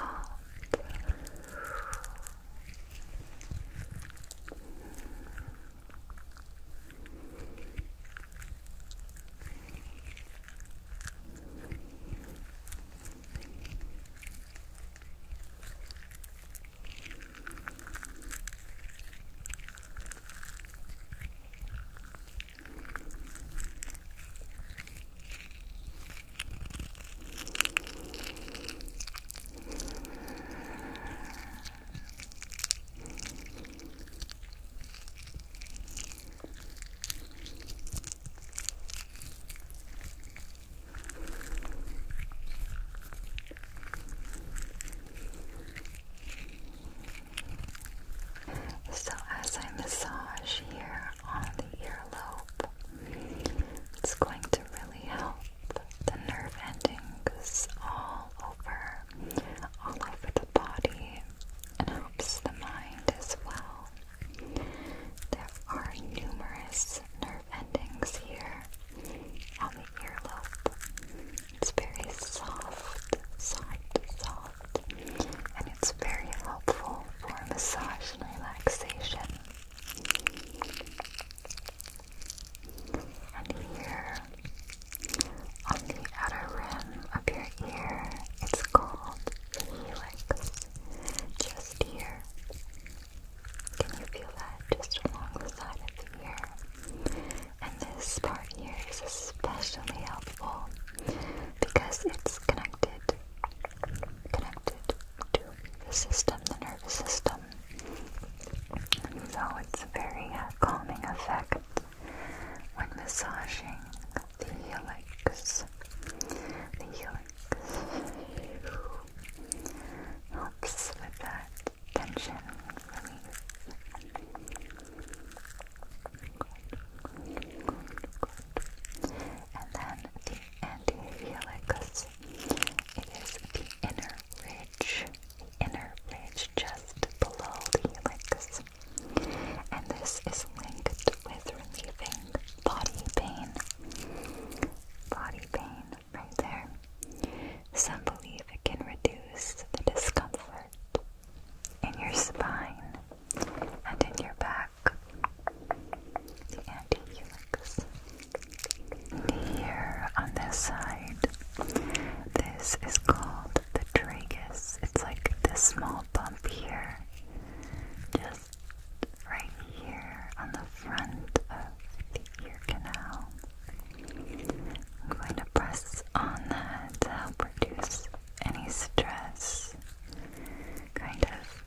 So, as I massage here, on the earlobe. It's going to really help the nerve endings all over, all over the body, and helps the mind as well. There are numerous nerve endings here on the earlobe. It's very soft, soft, soft and it's very helpful for massage and relaxation. And here on the outer rim of your ear, it's called the helix. Just here. Can you feel that just along the side of the ear? And this part here is especially helpful because it's connected connected to the system, the nervous system. And so it's a very uh, calming effect when massaging the helix. The helix helps with that tension relief. And then the antihelix. It is the inner ridge, the inner ridge just below the helix. And this is linked with relieving body pain. Body pain right there. Some believe it can reduce the discomfort in your spine and in your back back. Antihelix. Here on this side, this is called the tragus. It's like this small bump here, just right here on the front of the ear canal. I'm going to press on that to help reduce any stress kind of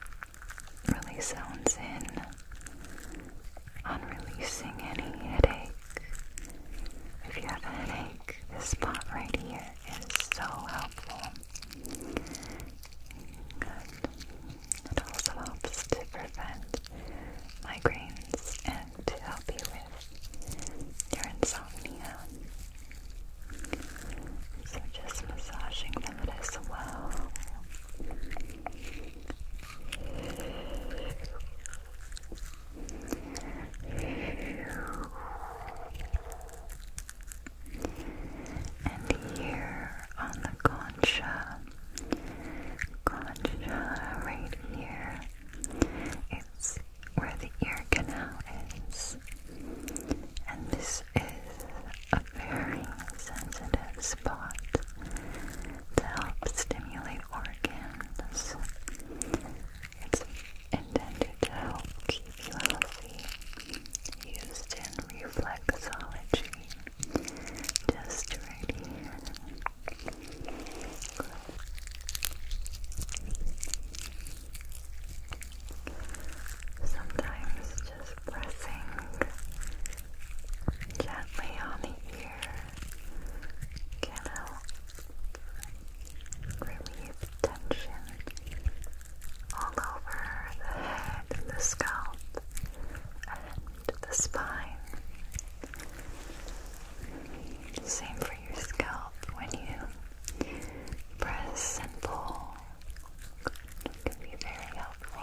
really zones in on releasing any headache. If you have a headache, this spot right here is so helpful. It also helps to prevent migraines and to help you with your insomnia. So just massaging them as well. And here on the concha, concha right here, it's where the ear canal is. And this is a very sensitive spot to help stimulate organs. It's intended to help keep you healthy. Used in reflexology, just right here. Sometimes just pressing gently on the ear can relieve tension all over the head the scalp and the spine. Same for your scalp when you press and pull can be very helpful.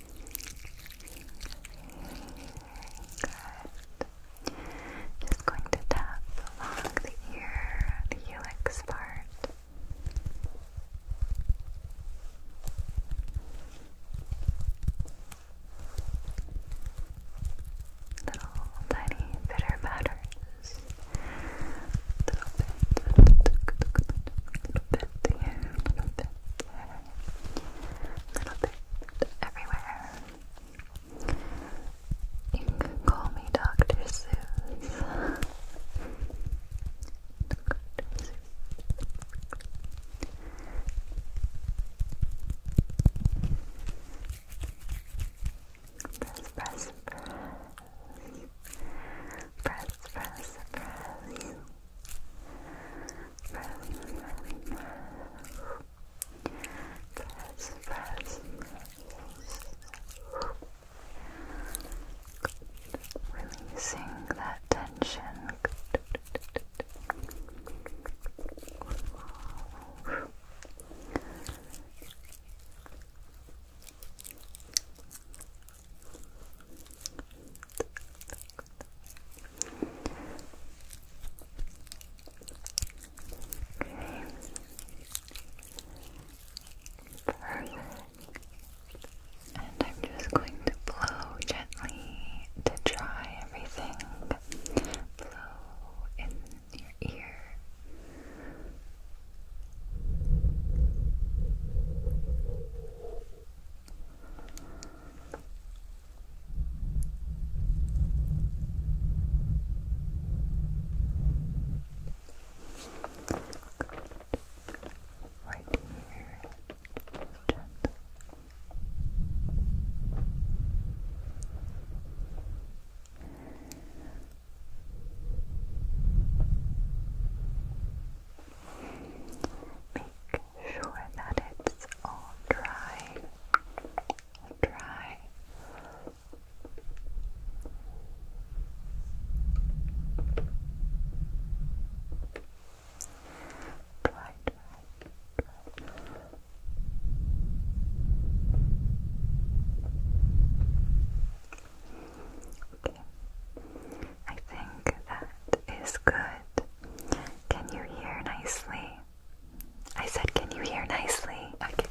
Just going to tap along the ear, helix part. Little tiny bitter patterns. Little bit, little bit here, little bit a little bit everywhere. You call me Dr. Seuss. Press, press, press. Press, press, press press, press, Releasing that tension. And I'm just going to blow gently to dry everything. Blow in your ear. Right here. Gentle. Make sure that it's all dry. dry. Dry, dry, dry. Okay. I think that is good. Can you hear nicely? I said, can you hear nicely? Okay.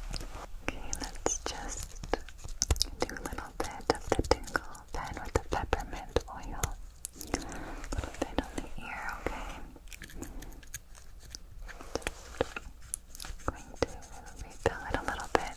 Okay, let's just do a little bit of the tingle pen with the peppermint oil. A little bit on the ear, okay? going to refill it a little bit.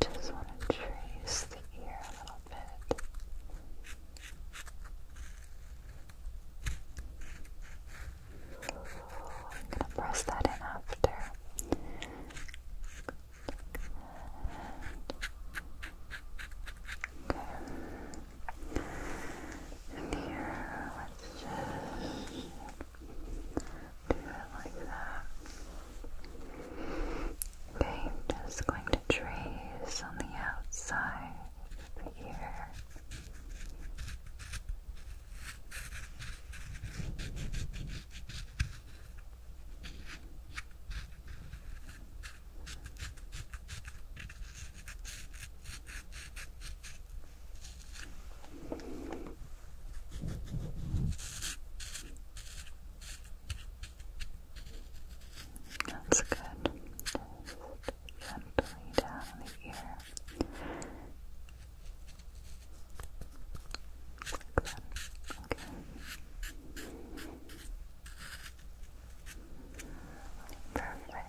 Just want to trace the ear a little bit. I'm going to press that in after. Okay. And here, let's just do it Okay, just going to trace on the outside of the ear. That's good. Just gently down the ear. Like that. Okay. Perfect.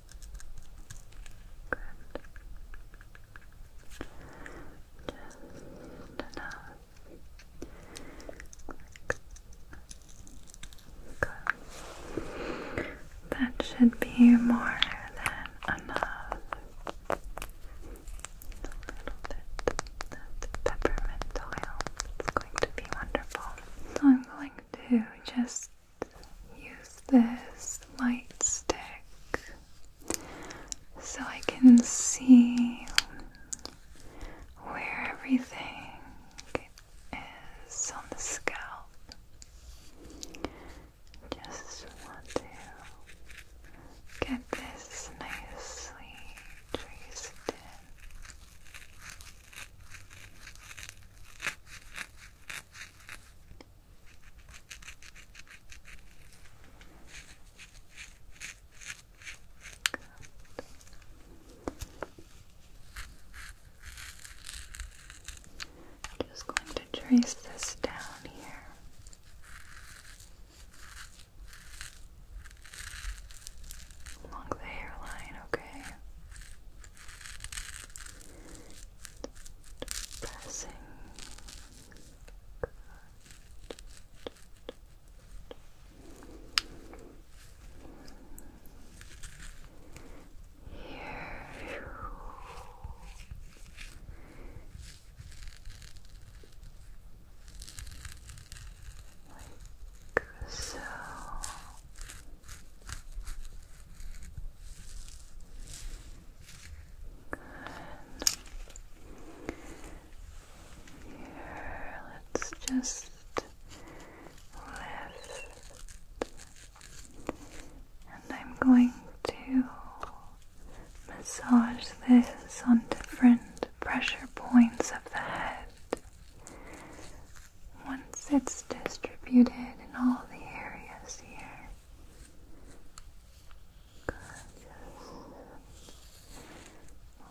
Just enough. Good. That should be more than enough. A little bit of peppermint oil. It's going to be wonderful. So I'm going to just use this light stick so I can see where everything is on the scalp. Just want to get this nicely traced in. I'm just going to trace this down here. Along the hairline, okay. Pressing. Here. Like so let's just lift, and I'm going to massage this on different pressure points of the head once it's distributed in all the areas here. Just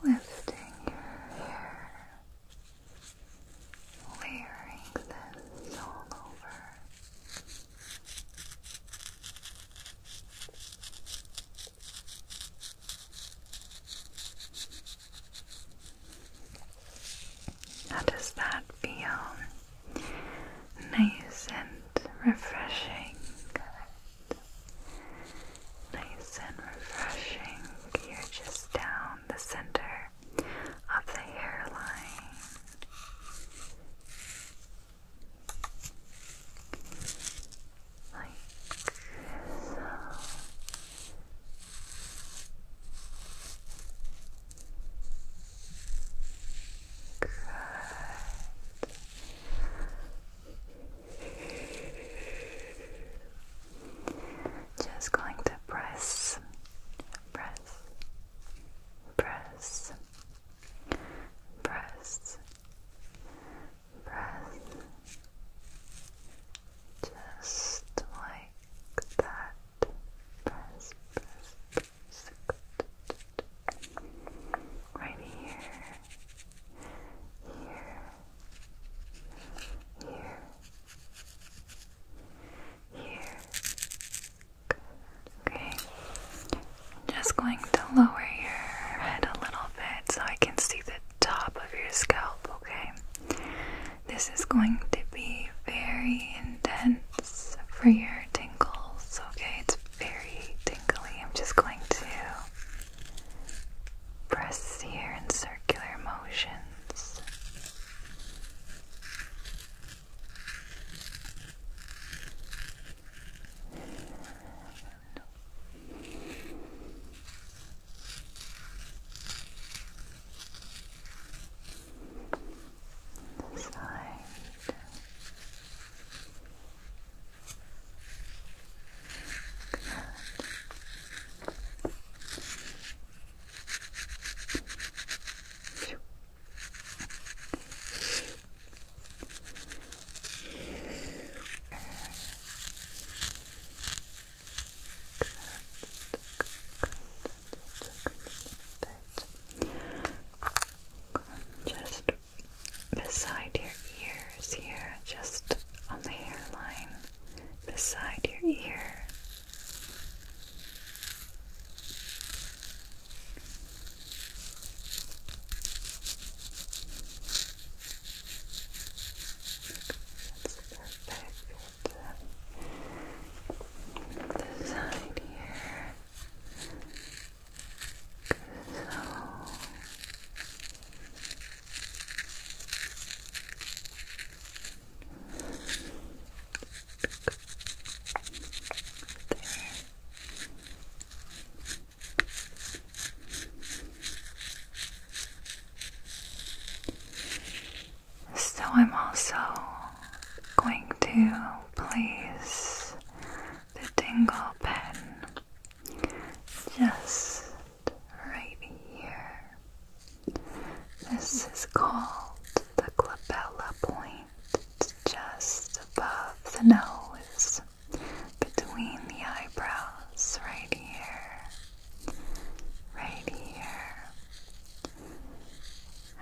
lifting your hair, layering this all over. How does that feel? Nice and refreshing. Nice and refreshing. You're just down the center of the hairline. Good. Just going to press, press, press, press, press, just like that. Right here, here, here, here. Okay. just going to lower your head a little bit so I can see the top of your scalp, okay? This is going to be very intense for your tingles, okay? It's very tingly. I'm just going to press here in circular motions the side Good. Good. Just beside your ears here, just on the hairline, beside your ear just this side here. So there. So, I'm also going to place the dingle pen just right here. This is called the glabella point. It's just above the nose, between the eyebrows, right here. Right here.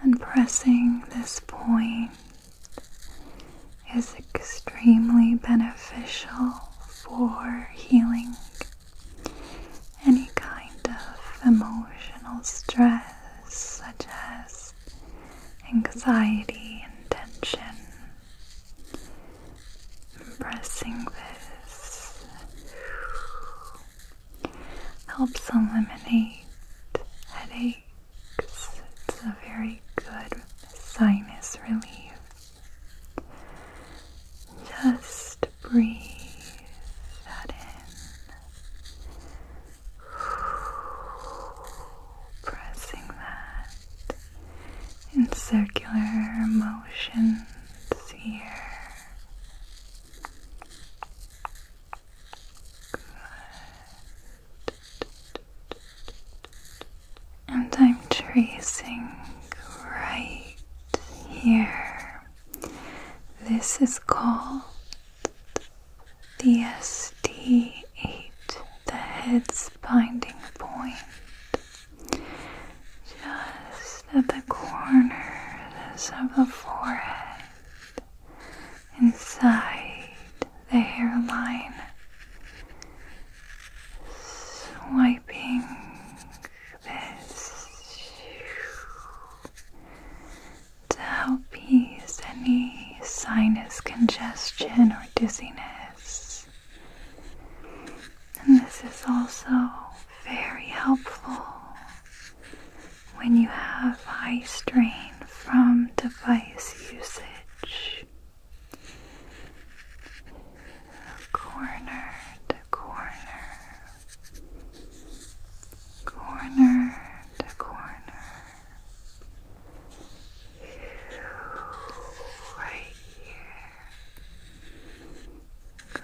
And pressing this point is extremely beneficial for healing any kind of emotional stress, such as anxiety and tension. Pressing this helps eliminate headaches. It's a very good sinus relief. Just breathe that in. Pressing that in circular motions here. And I'm tracing right here. This is called the SD8, the head's binding point. Just just at the corners of the forehead, inside the hairline, swiping this to help ease any sinus congestion or dizziness. And this is also very helpful when you have high strain from device usage. Corner to corner, corner to corner, right here. Good.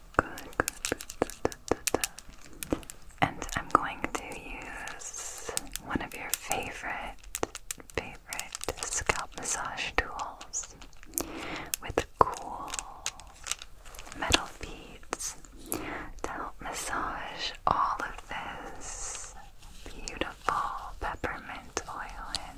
And I'm going to use one of your favorite, favorite scalp massage tools with cool metal beads to help massage all of this beautiful peppermint oil in.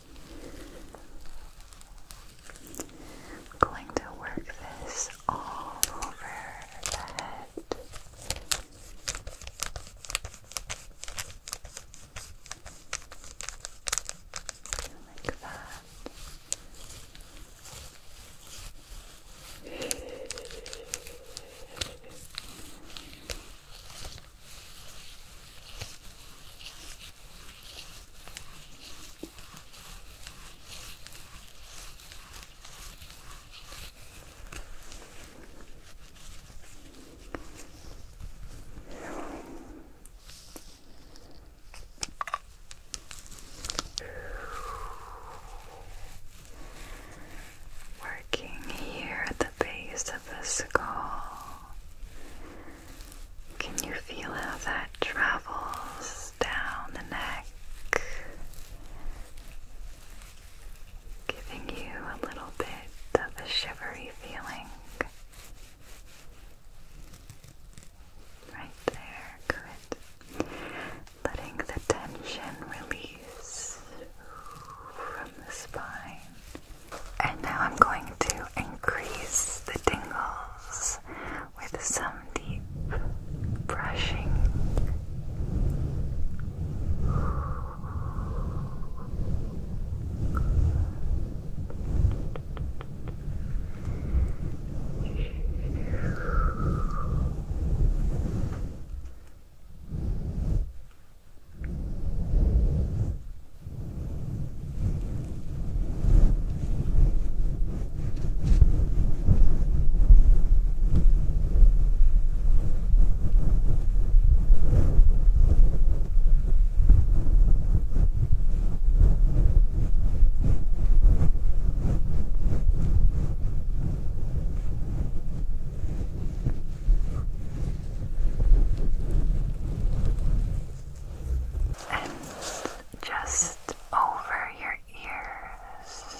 I'm going to work this all over the head. Like that. Working here at the base of the skull, can you feel how that travels down the neck? Giving you a little bit of a shivery feeling. Right there, Letting the tension release from the spine. And now I'm going to increase the tingles with some deep brushing. And just over your ears.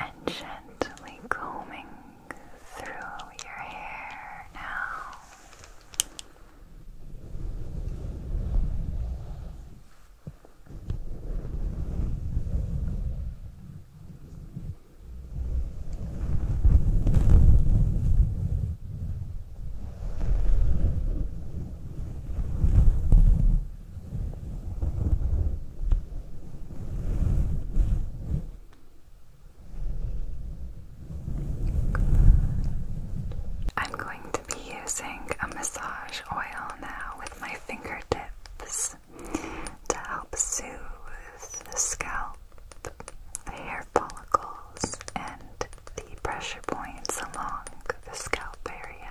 And gently combing through your hair now. I'm going to be using a massage oil now with my fingertips to help soothe the scalp, the hair follicles, and the pressure points along the scalp area.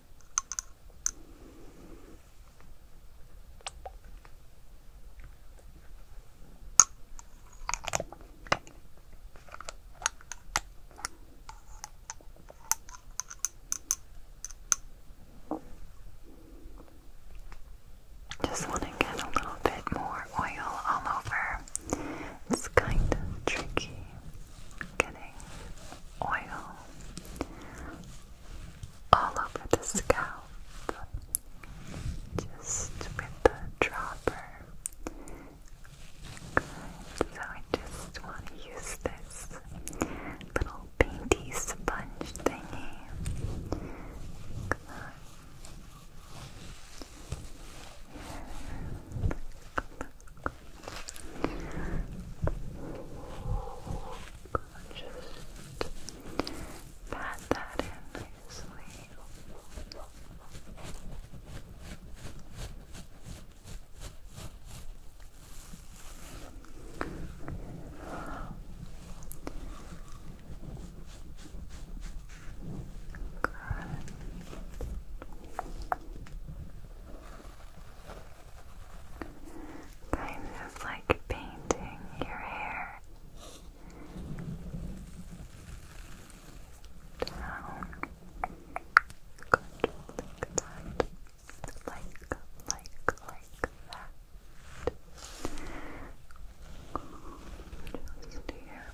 Just want to get a little bit more oil all over. It's kind of tricky getting oil all over the scalp, just with the dropper. So I just want to use this little painty sponge thingy. Good. Just pat that in nicely. Good. Kind of like painting your hair down. like that. Like, like, like that. Just here.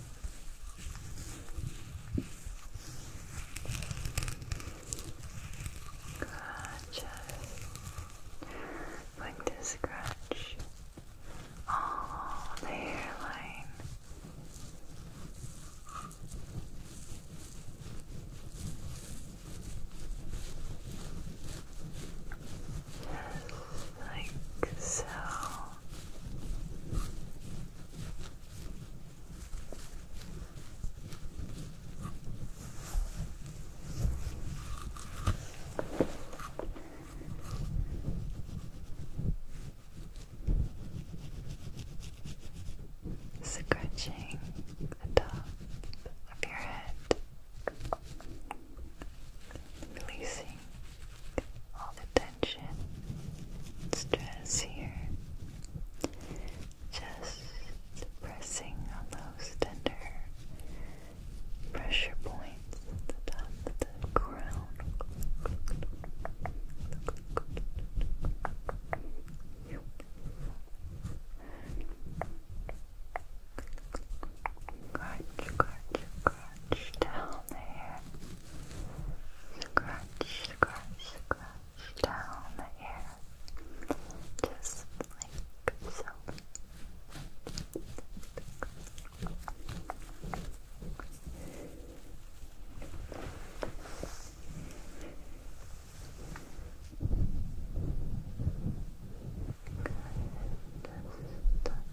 Good. Like to scratch all the hairline. like so. Scratching the top of your head, releasing all the tension, stress here. Just pressing on those tender pressure points at the crown. Crunch, crunch, crunch down on the hair. Scratch, scratch, scratch down the hair. Just like so. Good.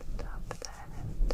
Just stop that. Good.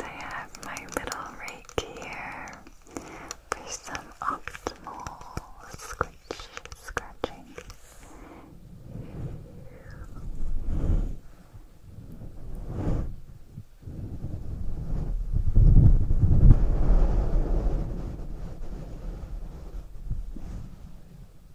I have my little rake here for some optimal scratch scratching. Okay.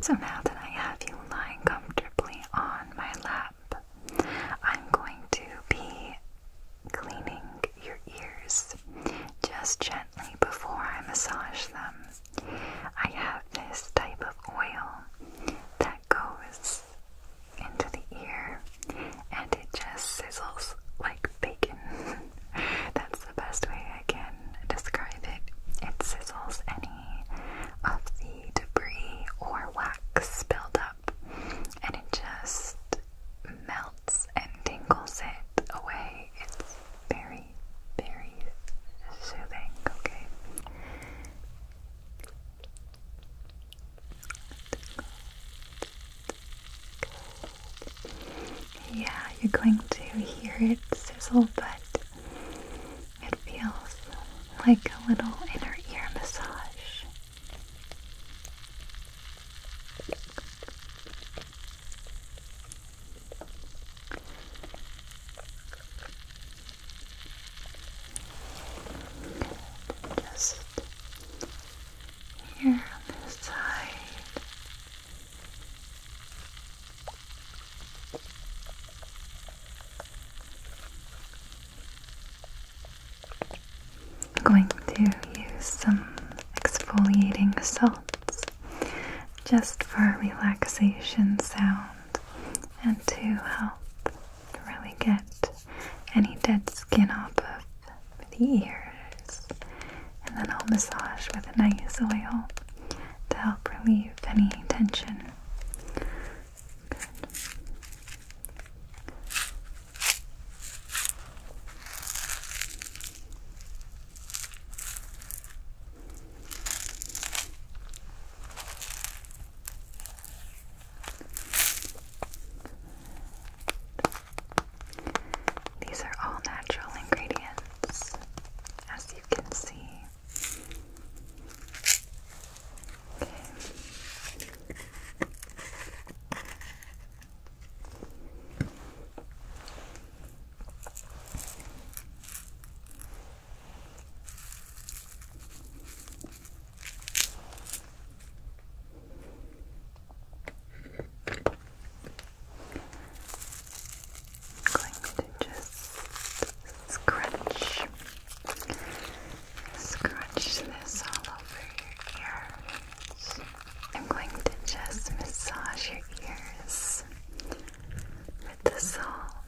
So now that I have you lying comfortably on my lap, I'm going to be cleaning your ears just gently before I massage them. I have this type of oil that goes into the ear and it just sizzles like bacon. That's the best way I can describe it. It sizzles any of the debris or wax spilled up and it just melts and tingles it away. It's very very, soothing, okay? Yeah, you're going to hear it sizzle, but it feels like a little inner ear massage just here on this side. I'm going to use some exfoliating salts just for relaxation sound and to help really get any dead skin off of the ears. And then I'll massage with a nice oil to help relieve any tension. These are all natural ingredients, as you can see going to just scratch, scratch this all over your ears. I'm going to just massage your ears with the salt.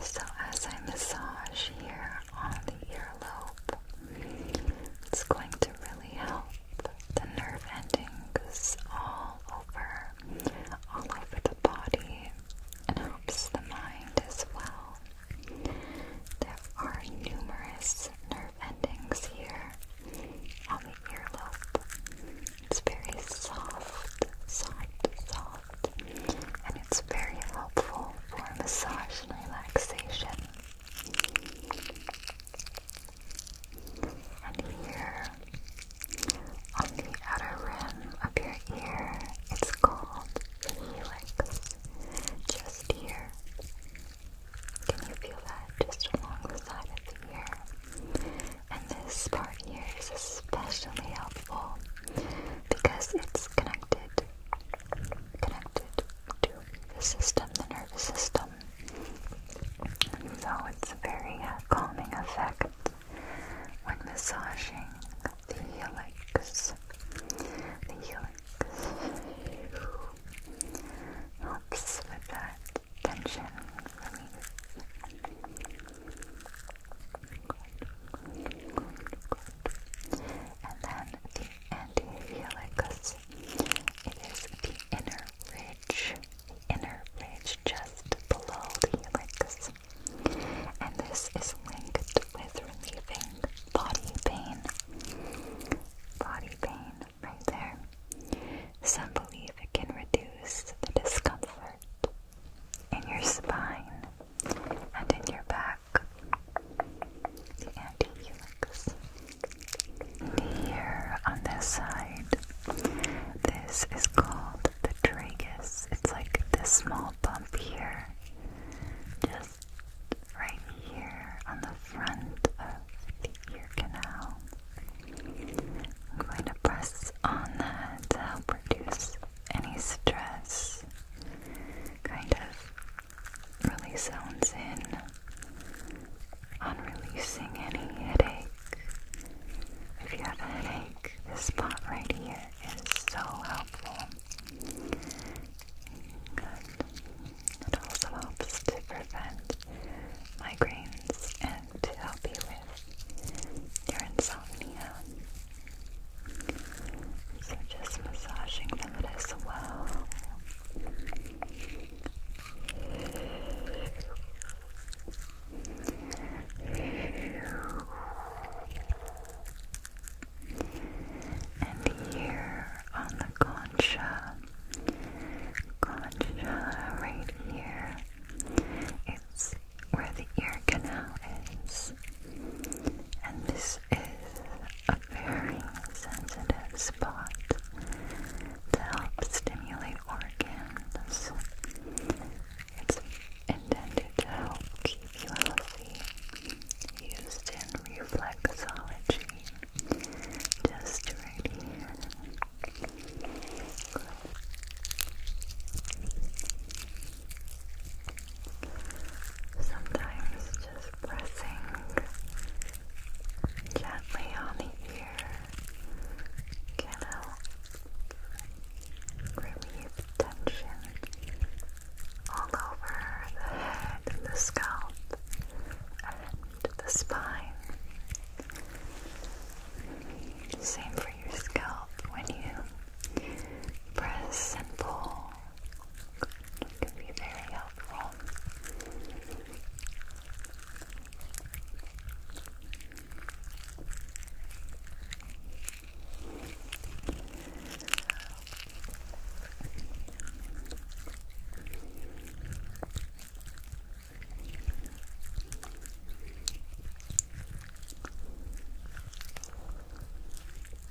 So, as I massage here on the earlobe, it's going to really help the nerve endings all over, all over the body, and helps the mind as well. There are numerous nerve endings here on the earlobe. It's very soft, soft, soft, and it's very helpful for massage and relaxation. And here on the outer rim of your ear, it's called the helix. Just here. Can you feel that just along the side of the ear? And this part here is especially helpful because it's connected connected to the system, the nervous system. So it's a very uh, calming effect when massaging the helix. The helix helps with that tension relief. And then and helicus. It is the inner ridge, the inner ridge just below the helicus. And this is linked with relieving body pain. Body pain right there. Some believe it can reduce the discomfort in your spine and in your back, the anti Here on this side, this is called the tragus. It's like this small bump here, just right here on the front of the ear canal. I'm going to press on that to help reduce any stress, kind of really zones in on releasing any headache. If you have a headache, this spot right here is so helpful. Good. It also helps to prevent migraines and to help you with your insomnia. So just massaging them as well. And here on the concha, concha right here, it's where the ear canal is. And this is a very sensitive spot to help stimulate organs. It's intended to help keep you healthy. Used in reflexology, just right here. Sometimes just pressing gently on the ear can help relieve tension all over the head the scalp and the spine. Same for your scalp when you press and pull it can be very helpful.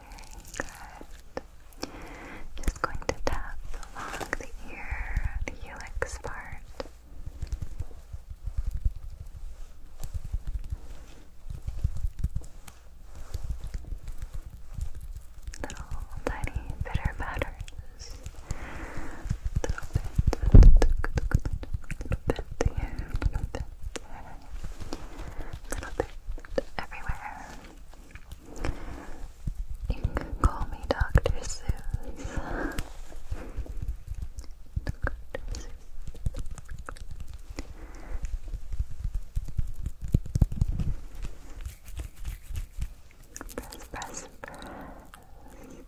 Good. Just going to tap along the ear, the helix part. Little tiny bitter patterns little bit everywhere. You call me Dr. Seuss. Press, press, press.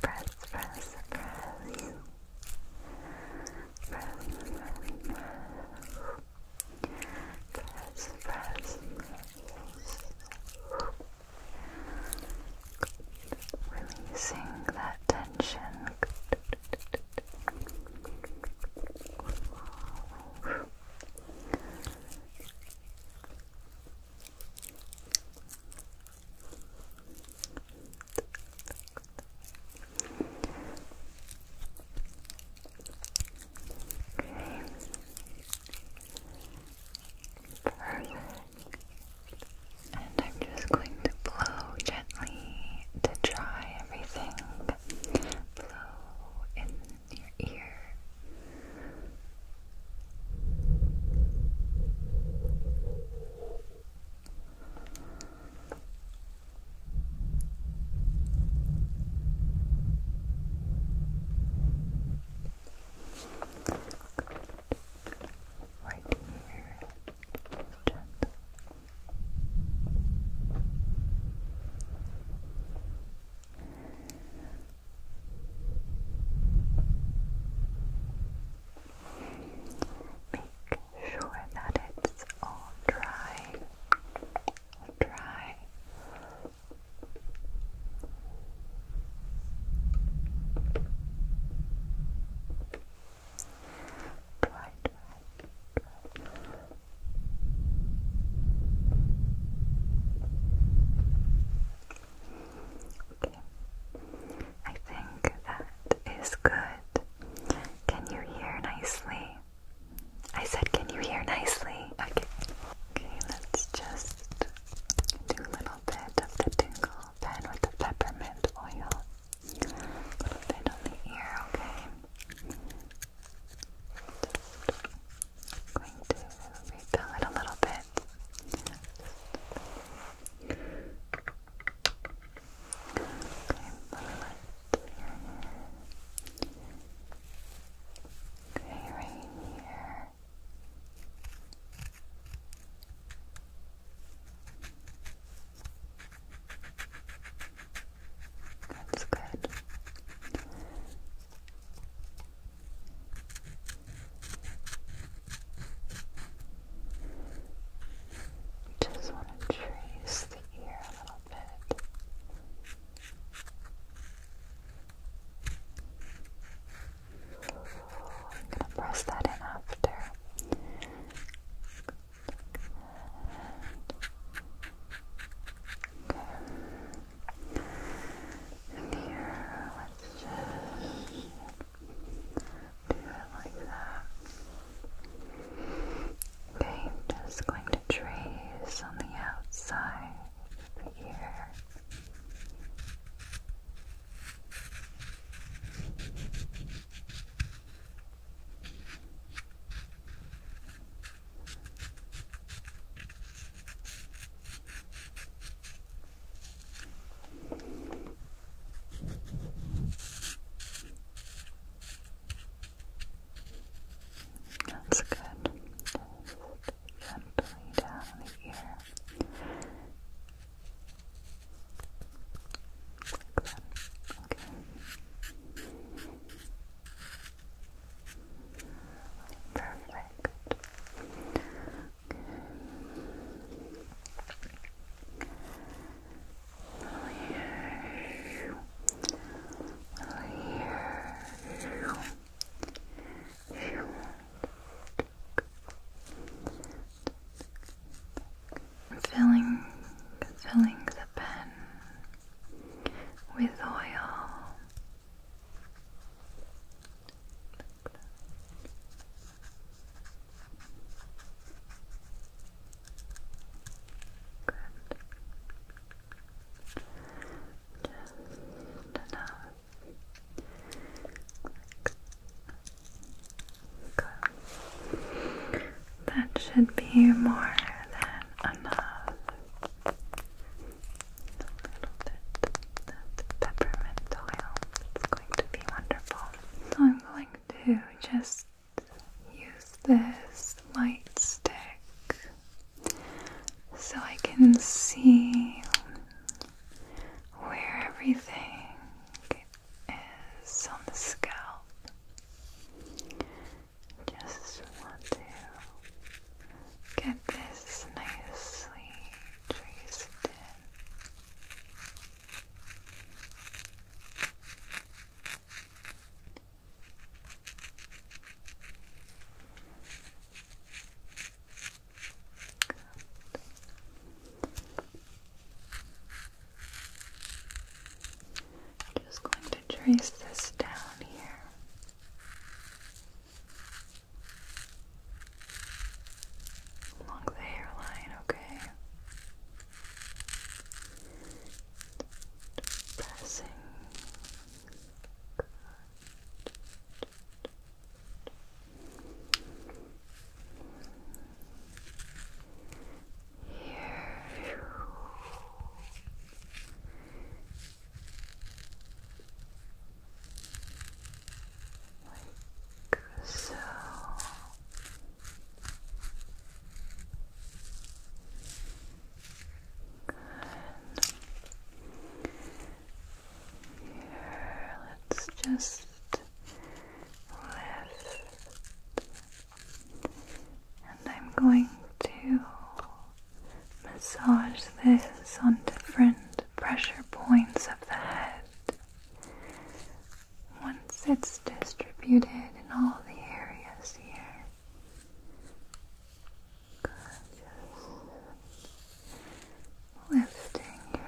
Press, press, press press, press, press. Releasing that tension. And I'm just going to blow gently to dry everything. Blow in your ear. Right here. Gentle. Make sure that it's all dry. Dry, dry, dry. Okay. I think that is good. Can you hear nicely? I said, can you hear nicely? Okay. Okay, let's just do a little bit of the tingle pen with the peppermint oil. A little bit on the ear, okay? going to refill it a little bit. Okay, right here. That's good. Just want to trace the ear a little I'm gonna press that in after. And here, let's just do it like that. Okay, I'm just going to trace on the outside of the ear. That's good. gently down the ear. Like that. Okay. Perfect. Filling, filling the pen with oil. Good. Just enough. Good. That should be more than enough. A little bit of peppermint oil. It's going to be wonderful. So I'm going to just use this light stick so I can see where everything is on the scalp. Just want to get this nicely traced in. I'm just going to trace this down here. Along the hairline, okay pressing. Here. Like so let's just lift. And I'm going to massage this on different pressure points of the head. Once it's distributed in all the areas here, Good, just lifting your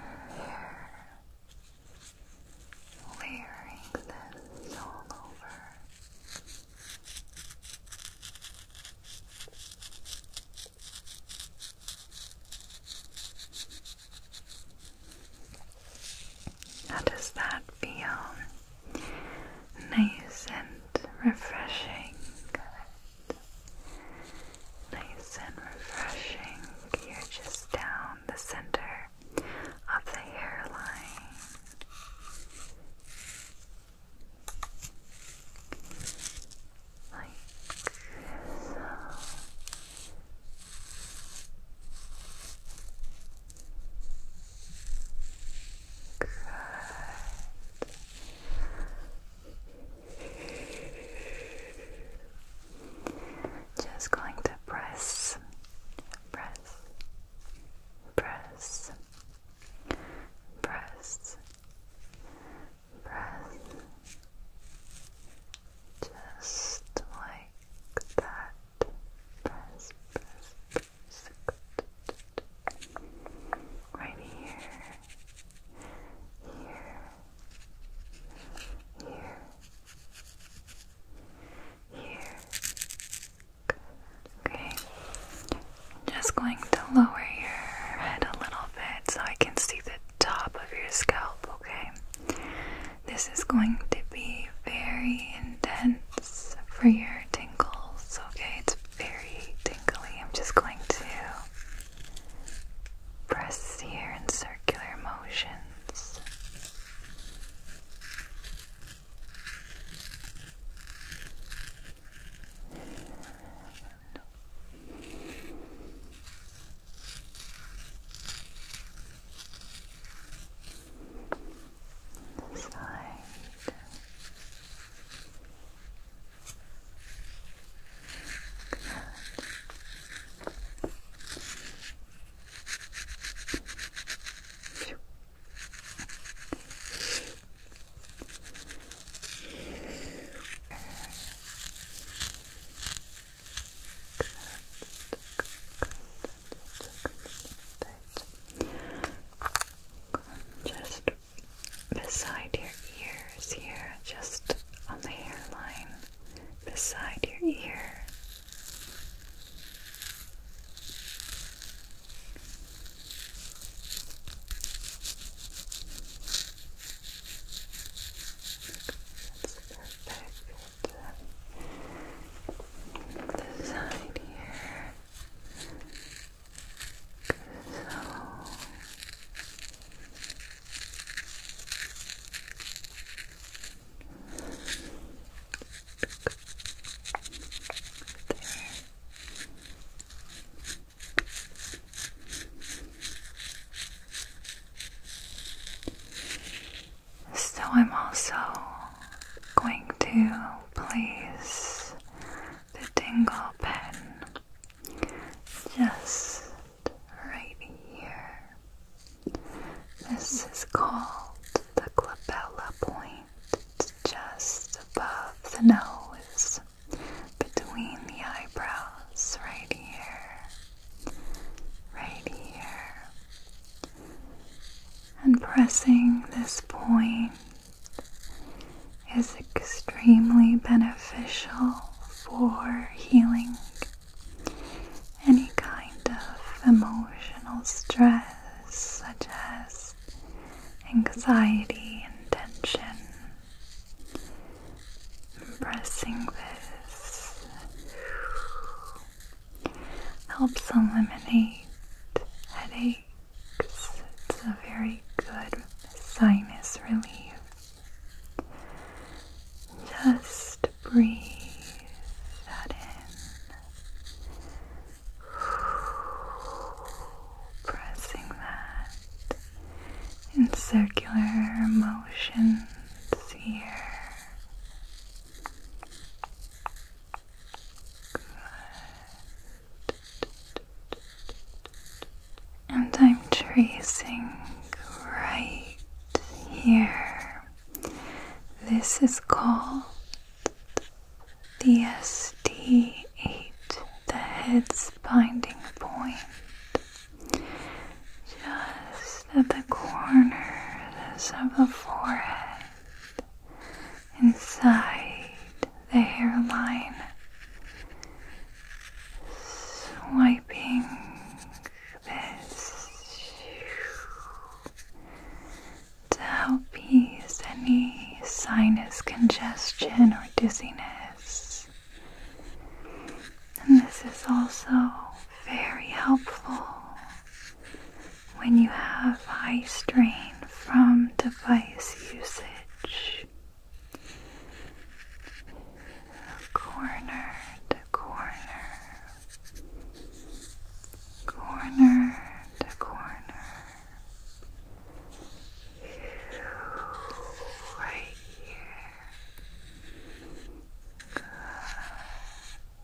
hair, layering this all over. How does that feel? Nice and refreshing. Nice and refreshing. You're just down the center of the hairline. Like so. Just going to press, press, press, press, press, just like that. Press, press, press right here, here, here, here. Okay. just going to lower your head a little bit so I can see the top of your scalp, okay? This is going to be very intense for your tingles. Okay, it's very tingly. I'm just going to press here in circular motions on the side. Good. Good. Good. Good. Just beside your ears here, just on the hairline, beside your ear. perfect. The here. So I'm also going to place the tingle pen just right here. This is called the glabella point. It's just above the nose, between the eyebrows, right here, right here, and pressing this point is extremely beneficial for healing any kind of emotional stress such as anxiety and tension. Pressing this helps eliminate headaches. It's a very good sinus relief. Just breathe that in. Pressing that in circular motions here. And I'm tracing right here. This is called the SD8, the head's binding point. Just at the corners of the forehead inside the hairline, swiping this to help ease any sinus congestion or dizziness. And this is also very helpful when you have high strain from device usage. Corner to corner, corner to corner, right here.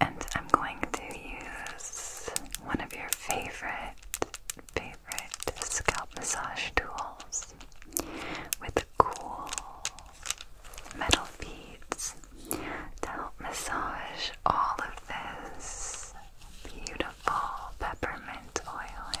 And I'm going to use one of your favorite, favorite scalp massage tools with the cool metal beads to help massage all of this beautiful peppermint oil in.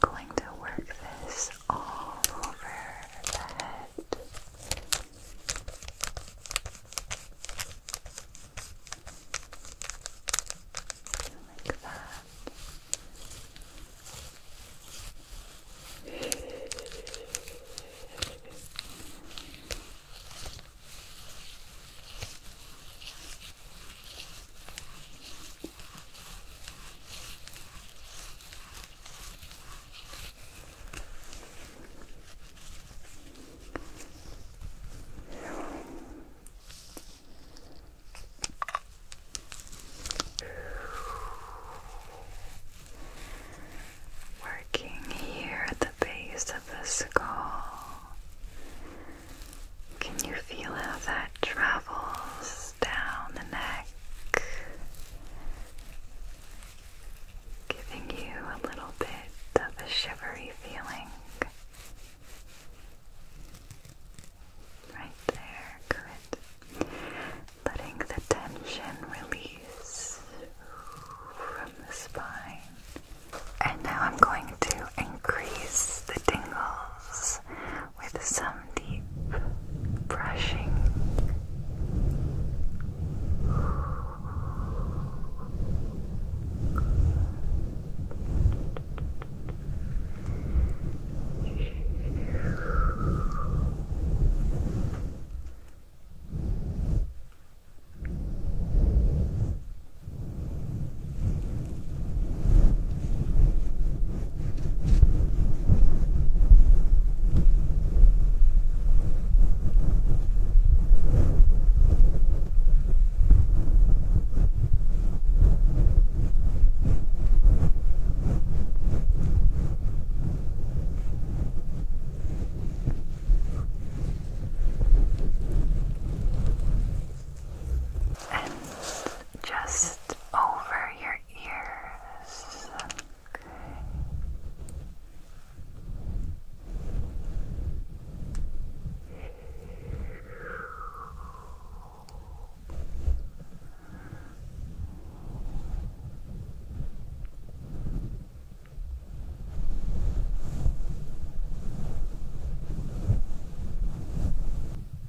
I'm going to work this all over the head. Like that. Working here at the base of the skull. Can you feel how that travels down the neck, giving you a little bit of a shivery feeling. Right there, Letting the tension release from the spine. And now I'm going to increase the tingles with some deep brushing. And just over your your ears. Okay. Okay.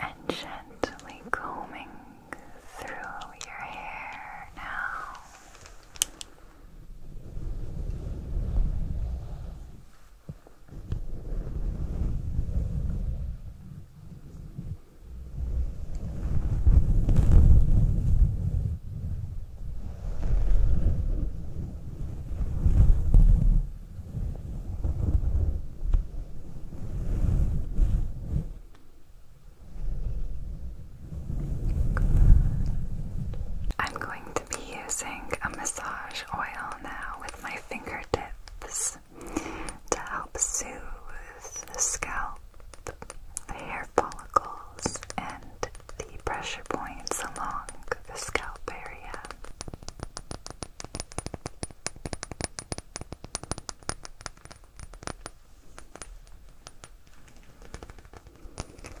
And gently combing through your hair now. I'm going to be using a massage oil now with my fingertips to help soothe the scalp, the hair follicles, and the pressure points along the scalp area.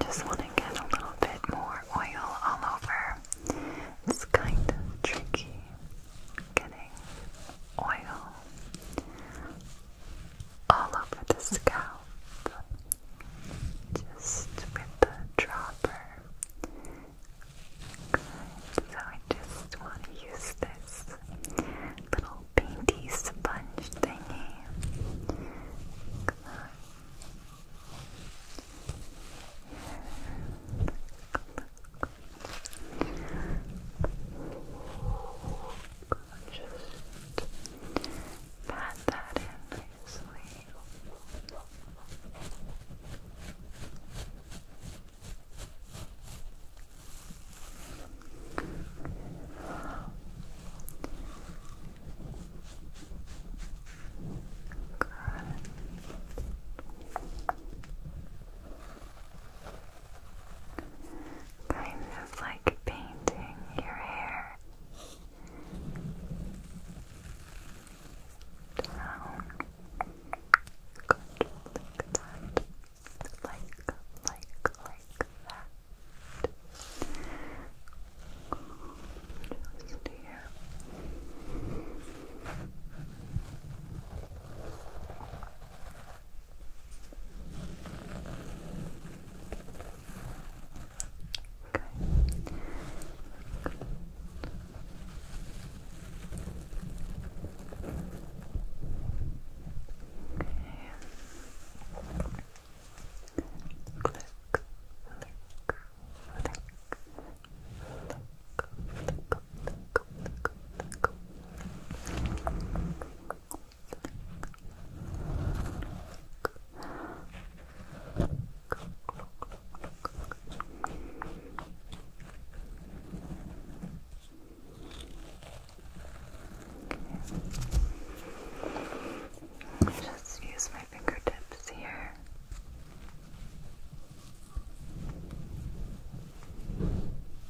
Just want to get a little bit more oil all over. It's kind of tricky getting oil all over the scalp, just with the dropper. So I just want to use this little painty sponge thingy. Just pat that in nicely. Good. Kind of like painting your hair down. Good, like that. Just here. Okay. Good. Okay. Click, just use my fingertips here.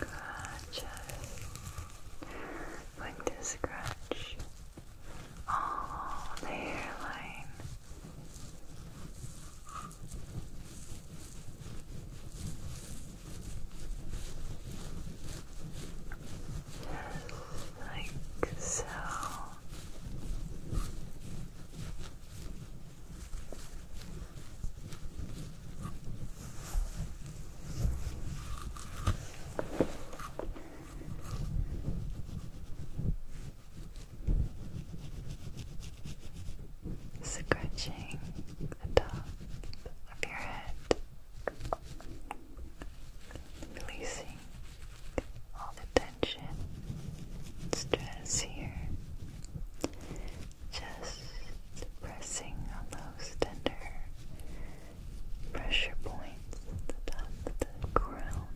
Gotcha. Going to scratch all the hairline. Just like so. Scratching the top of your head, releasing all the stress here. Just pressing on those tender pressure points at the top of the crown.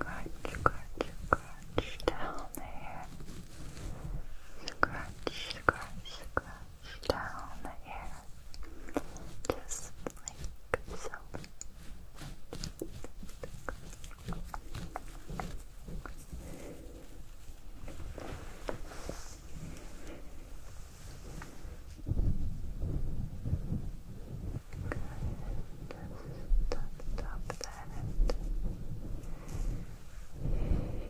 Crunch, crunch, crunch down there. Scratch, scratch, scratch down here, just like so. Good. Just top, top that.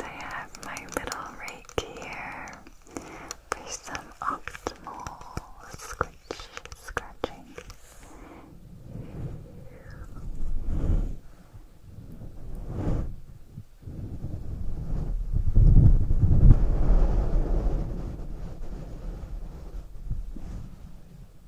I have my little rake here for some optimal scratch scratching.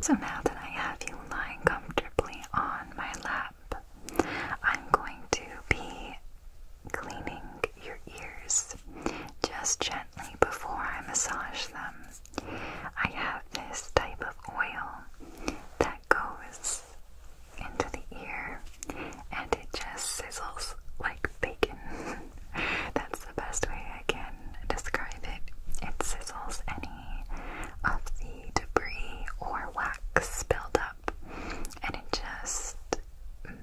So now that I have you lying comfortably on my lap, I'm going to be cleaning your ears just gently before I massage them. I have this type of oil that that goes into the ear and it just sizzles like bacon. That's the best way I can describe it. It sizzles any of the debris or wax built up and it just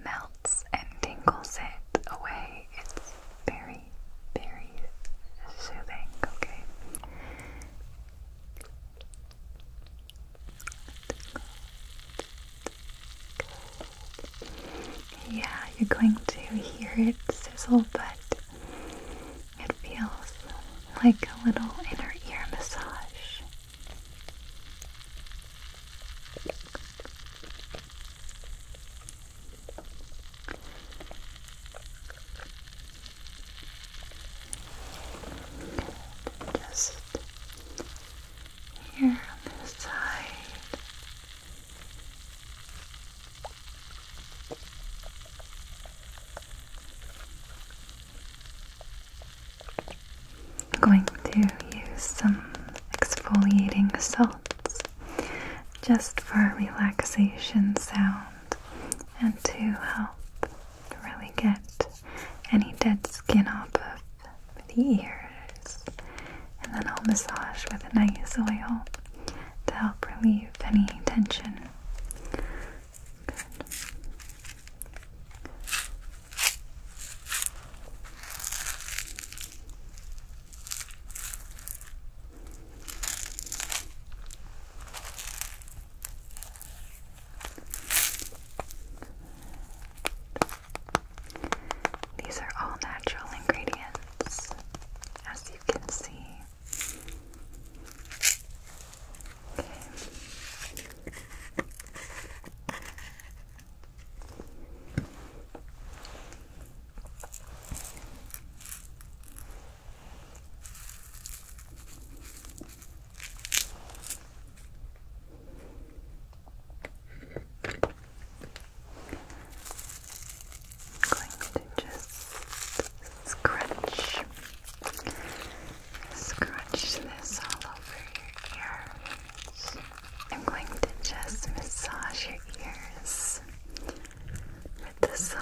melts and tingles it away. It's very, very soothing, okay? Yeah, you're going to hear it sizzle, but it feels like a little inner ear massage just here on this side. I'm going to use some exfoliating salts just for relaxation sound and to help really get any dead skin off of the ears. And then I'll massage with a nice oil to help relieve any tension. These are all natural ingredients, as you can see. Okay going to just scratch, scratch this all over your ears. I'm going to just massage your ears with the salt.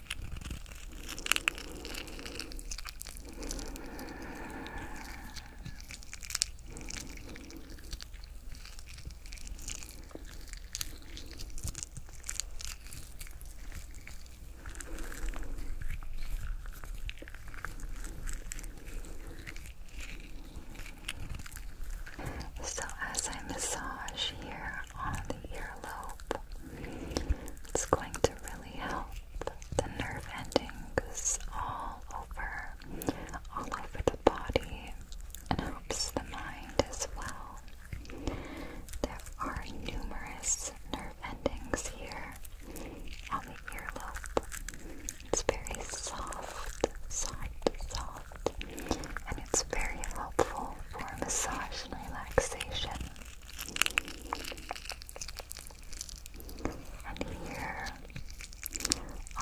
So, as I massage here on the earlobe, it's going to really help the nerve endings all over, all over the body, and helps the mind as well. There are numerous nerve endings here on the earlobe. It's very soft, soft, soft, and it's very helpful for massage and relaxation. And here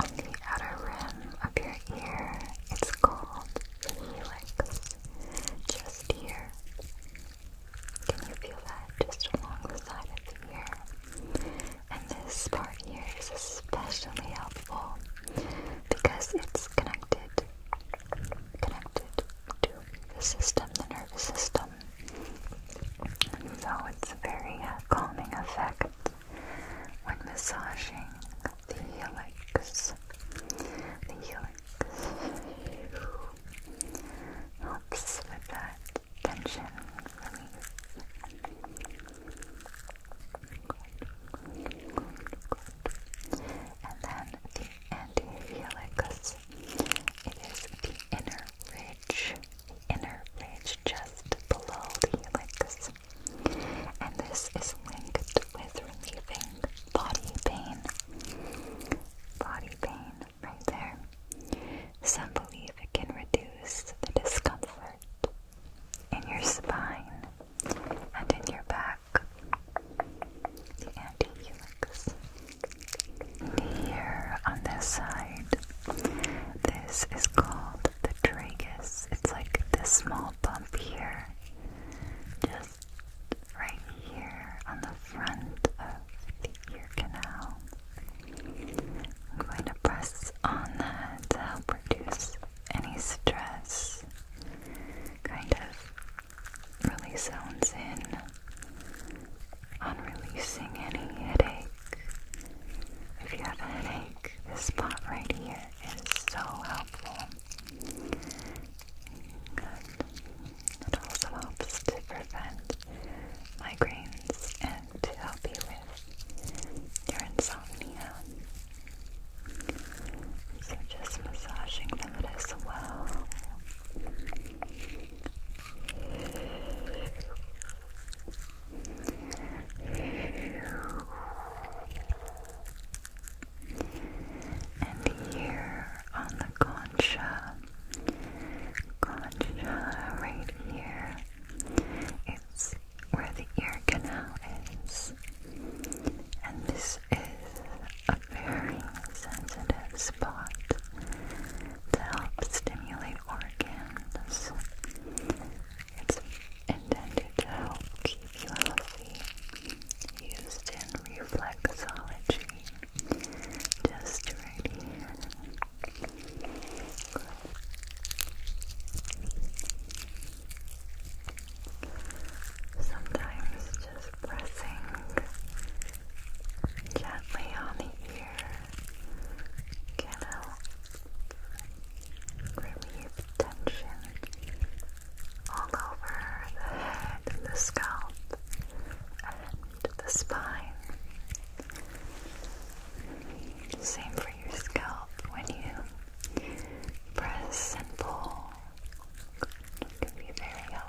on the outer rim of your ear, it's called the helix. Just here. Can you feel that just along of the ear? And this part here is especially helpful because it's connected connected to the system, the nervous system. So it's a very uh, calming effect when massaging the helix. The helix helps with that tension release. And then the anti-helix it is the inner ridge, inner ridge just below the helix. And this is linked with relieving body pain. Body pain, right there. Some believe it can reduce the discomfort in your spine and in your back. The anti here on this side, this is called the tragus. It's like this small bump here, just right here on the front of the ear canal. I'm going to press on that to help reduce any stress, kind of really zones in on releasing any headache. If you have headache, this spot right here is so helpful. It also helps to prevent migraines and to help you with your insomnia. So just massaging that as well. And here on the concha, concha right here, where the ear canal is. And this is a very sensitive spot to help stimulate organs. It's intended to help keep you healthy. Used in reflexology. Just right here. Sometimes just pressing gently on the ear can help relieve tension all over the head the scalp and the spine. Same for your scalp when you press and pull it can be very helpful.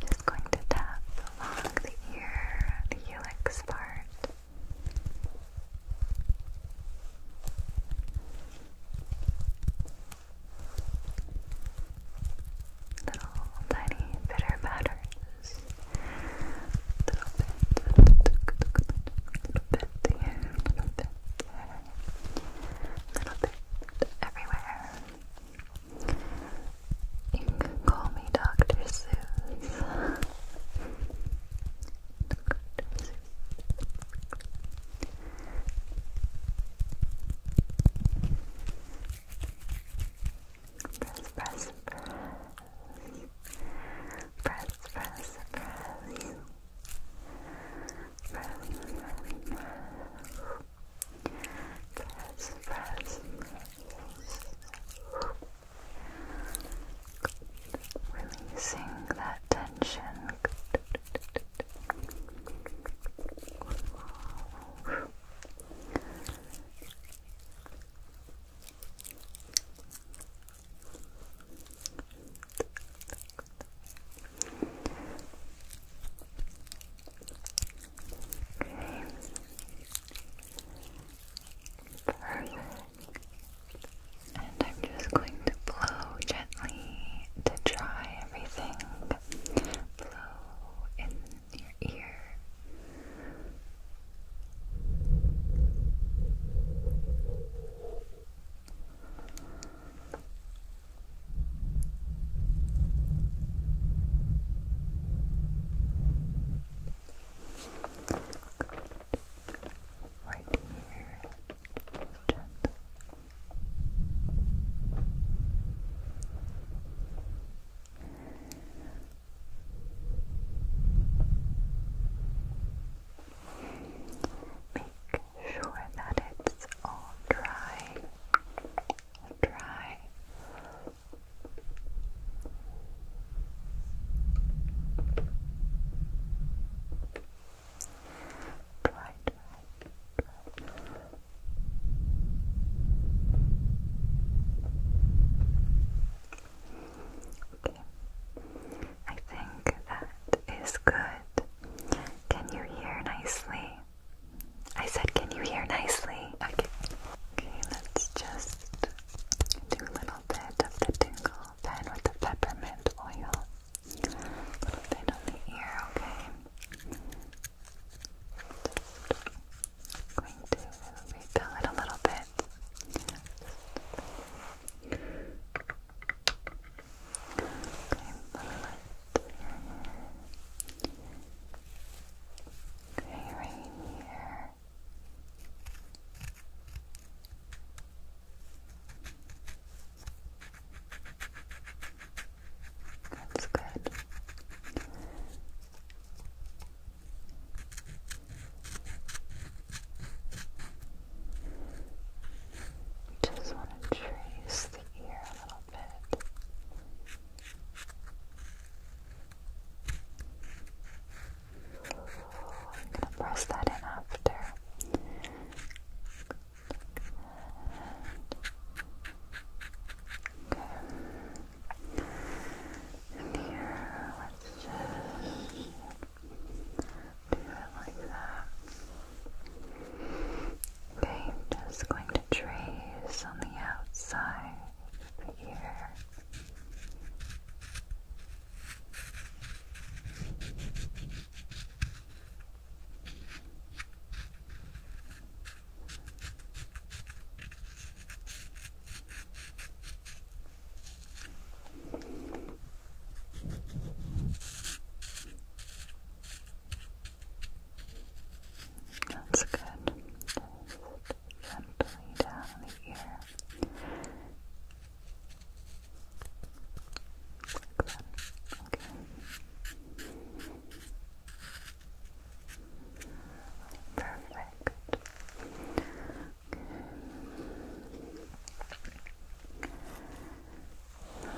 Just going to tap along the ear, the helix part. Little tiny bitter patterns. Little bit, little bit little bit everywhere. You can call me Dr. Seuss. Press, press, press. Press, press, press. Press, press, press press, press, Releasing that tension. Perfect. And I'm just going to blow gently to dry everything. Blow in your ear. Right here. Gentle. Make sure that it's all dry dry. Dry, dry, Okay. I think that is good. Can you hear nicely? I said, can you hear nicely? Okay. Okay, let's just do a little bit of the tingle pen with the peppermint oil. A little bit on the ear, okay? going to refill it a little bit. Okay, let me let Okay, right here. That's good. just want to trace the ear a little bit. I'm going to press that in after. Good. And here, let's just do it like that. Okay, i just going to trace on the outside of that's good. Just gently down the Like that. Okay. Perfect.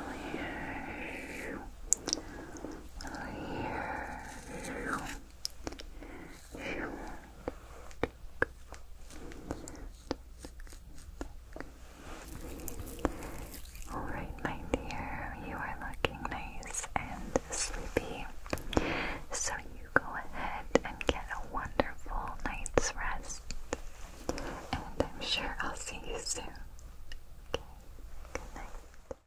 Okay. Really here. Alright, my dear, you are looking nice and sleepy. So you go ahead and get a wonderful night's rest. And I'm sure I'll see you soon. Okay, good night.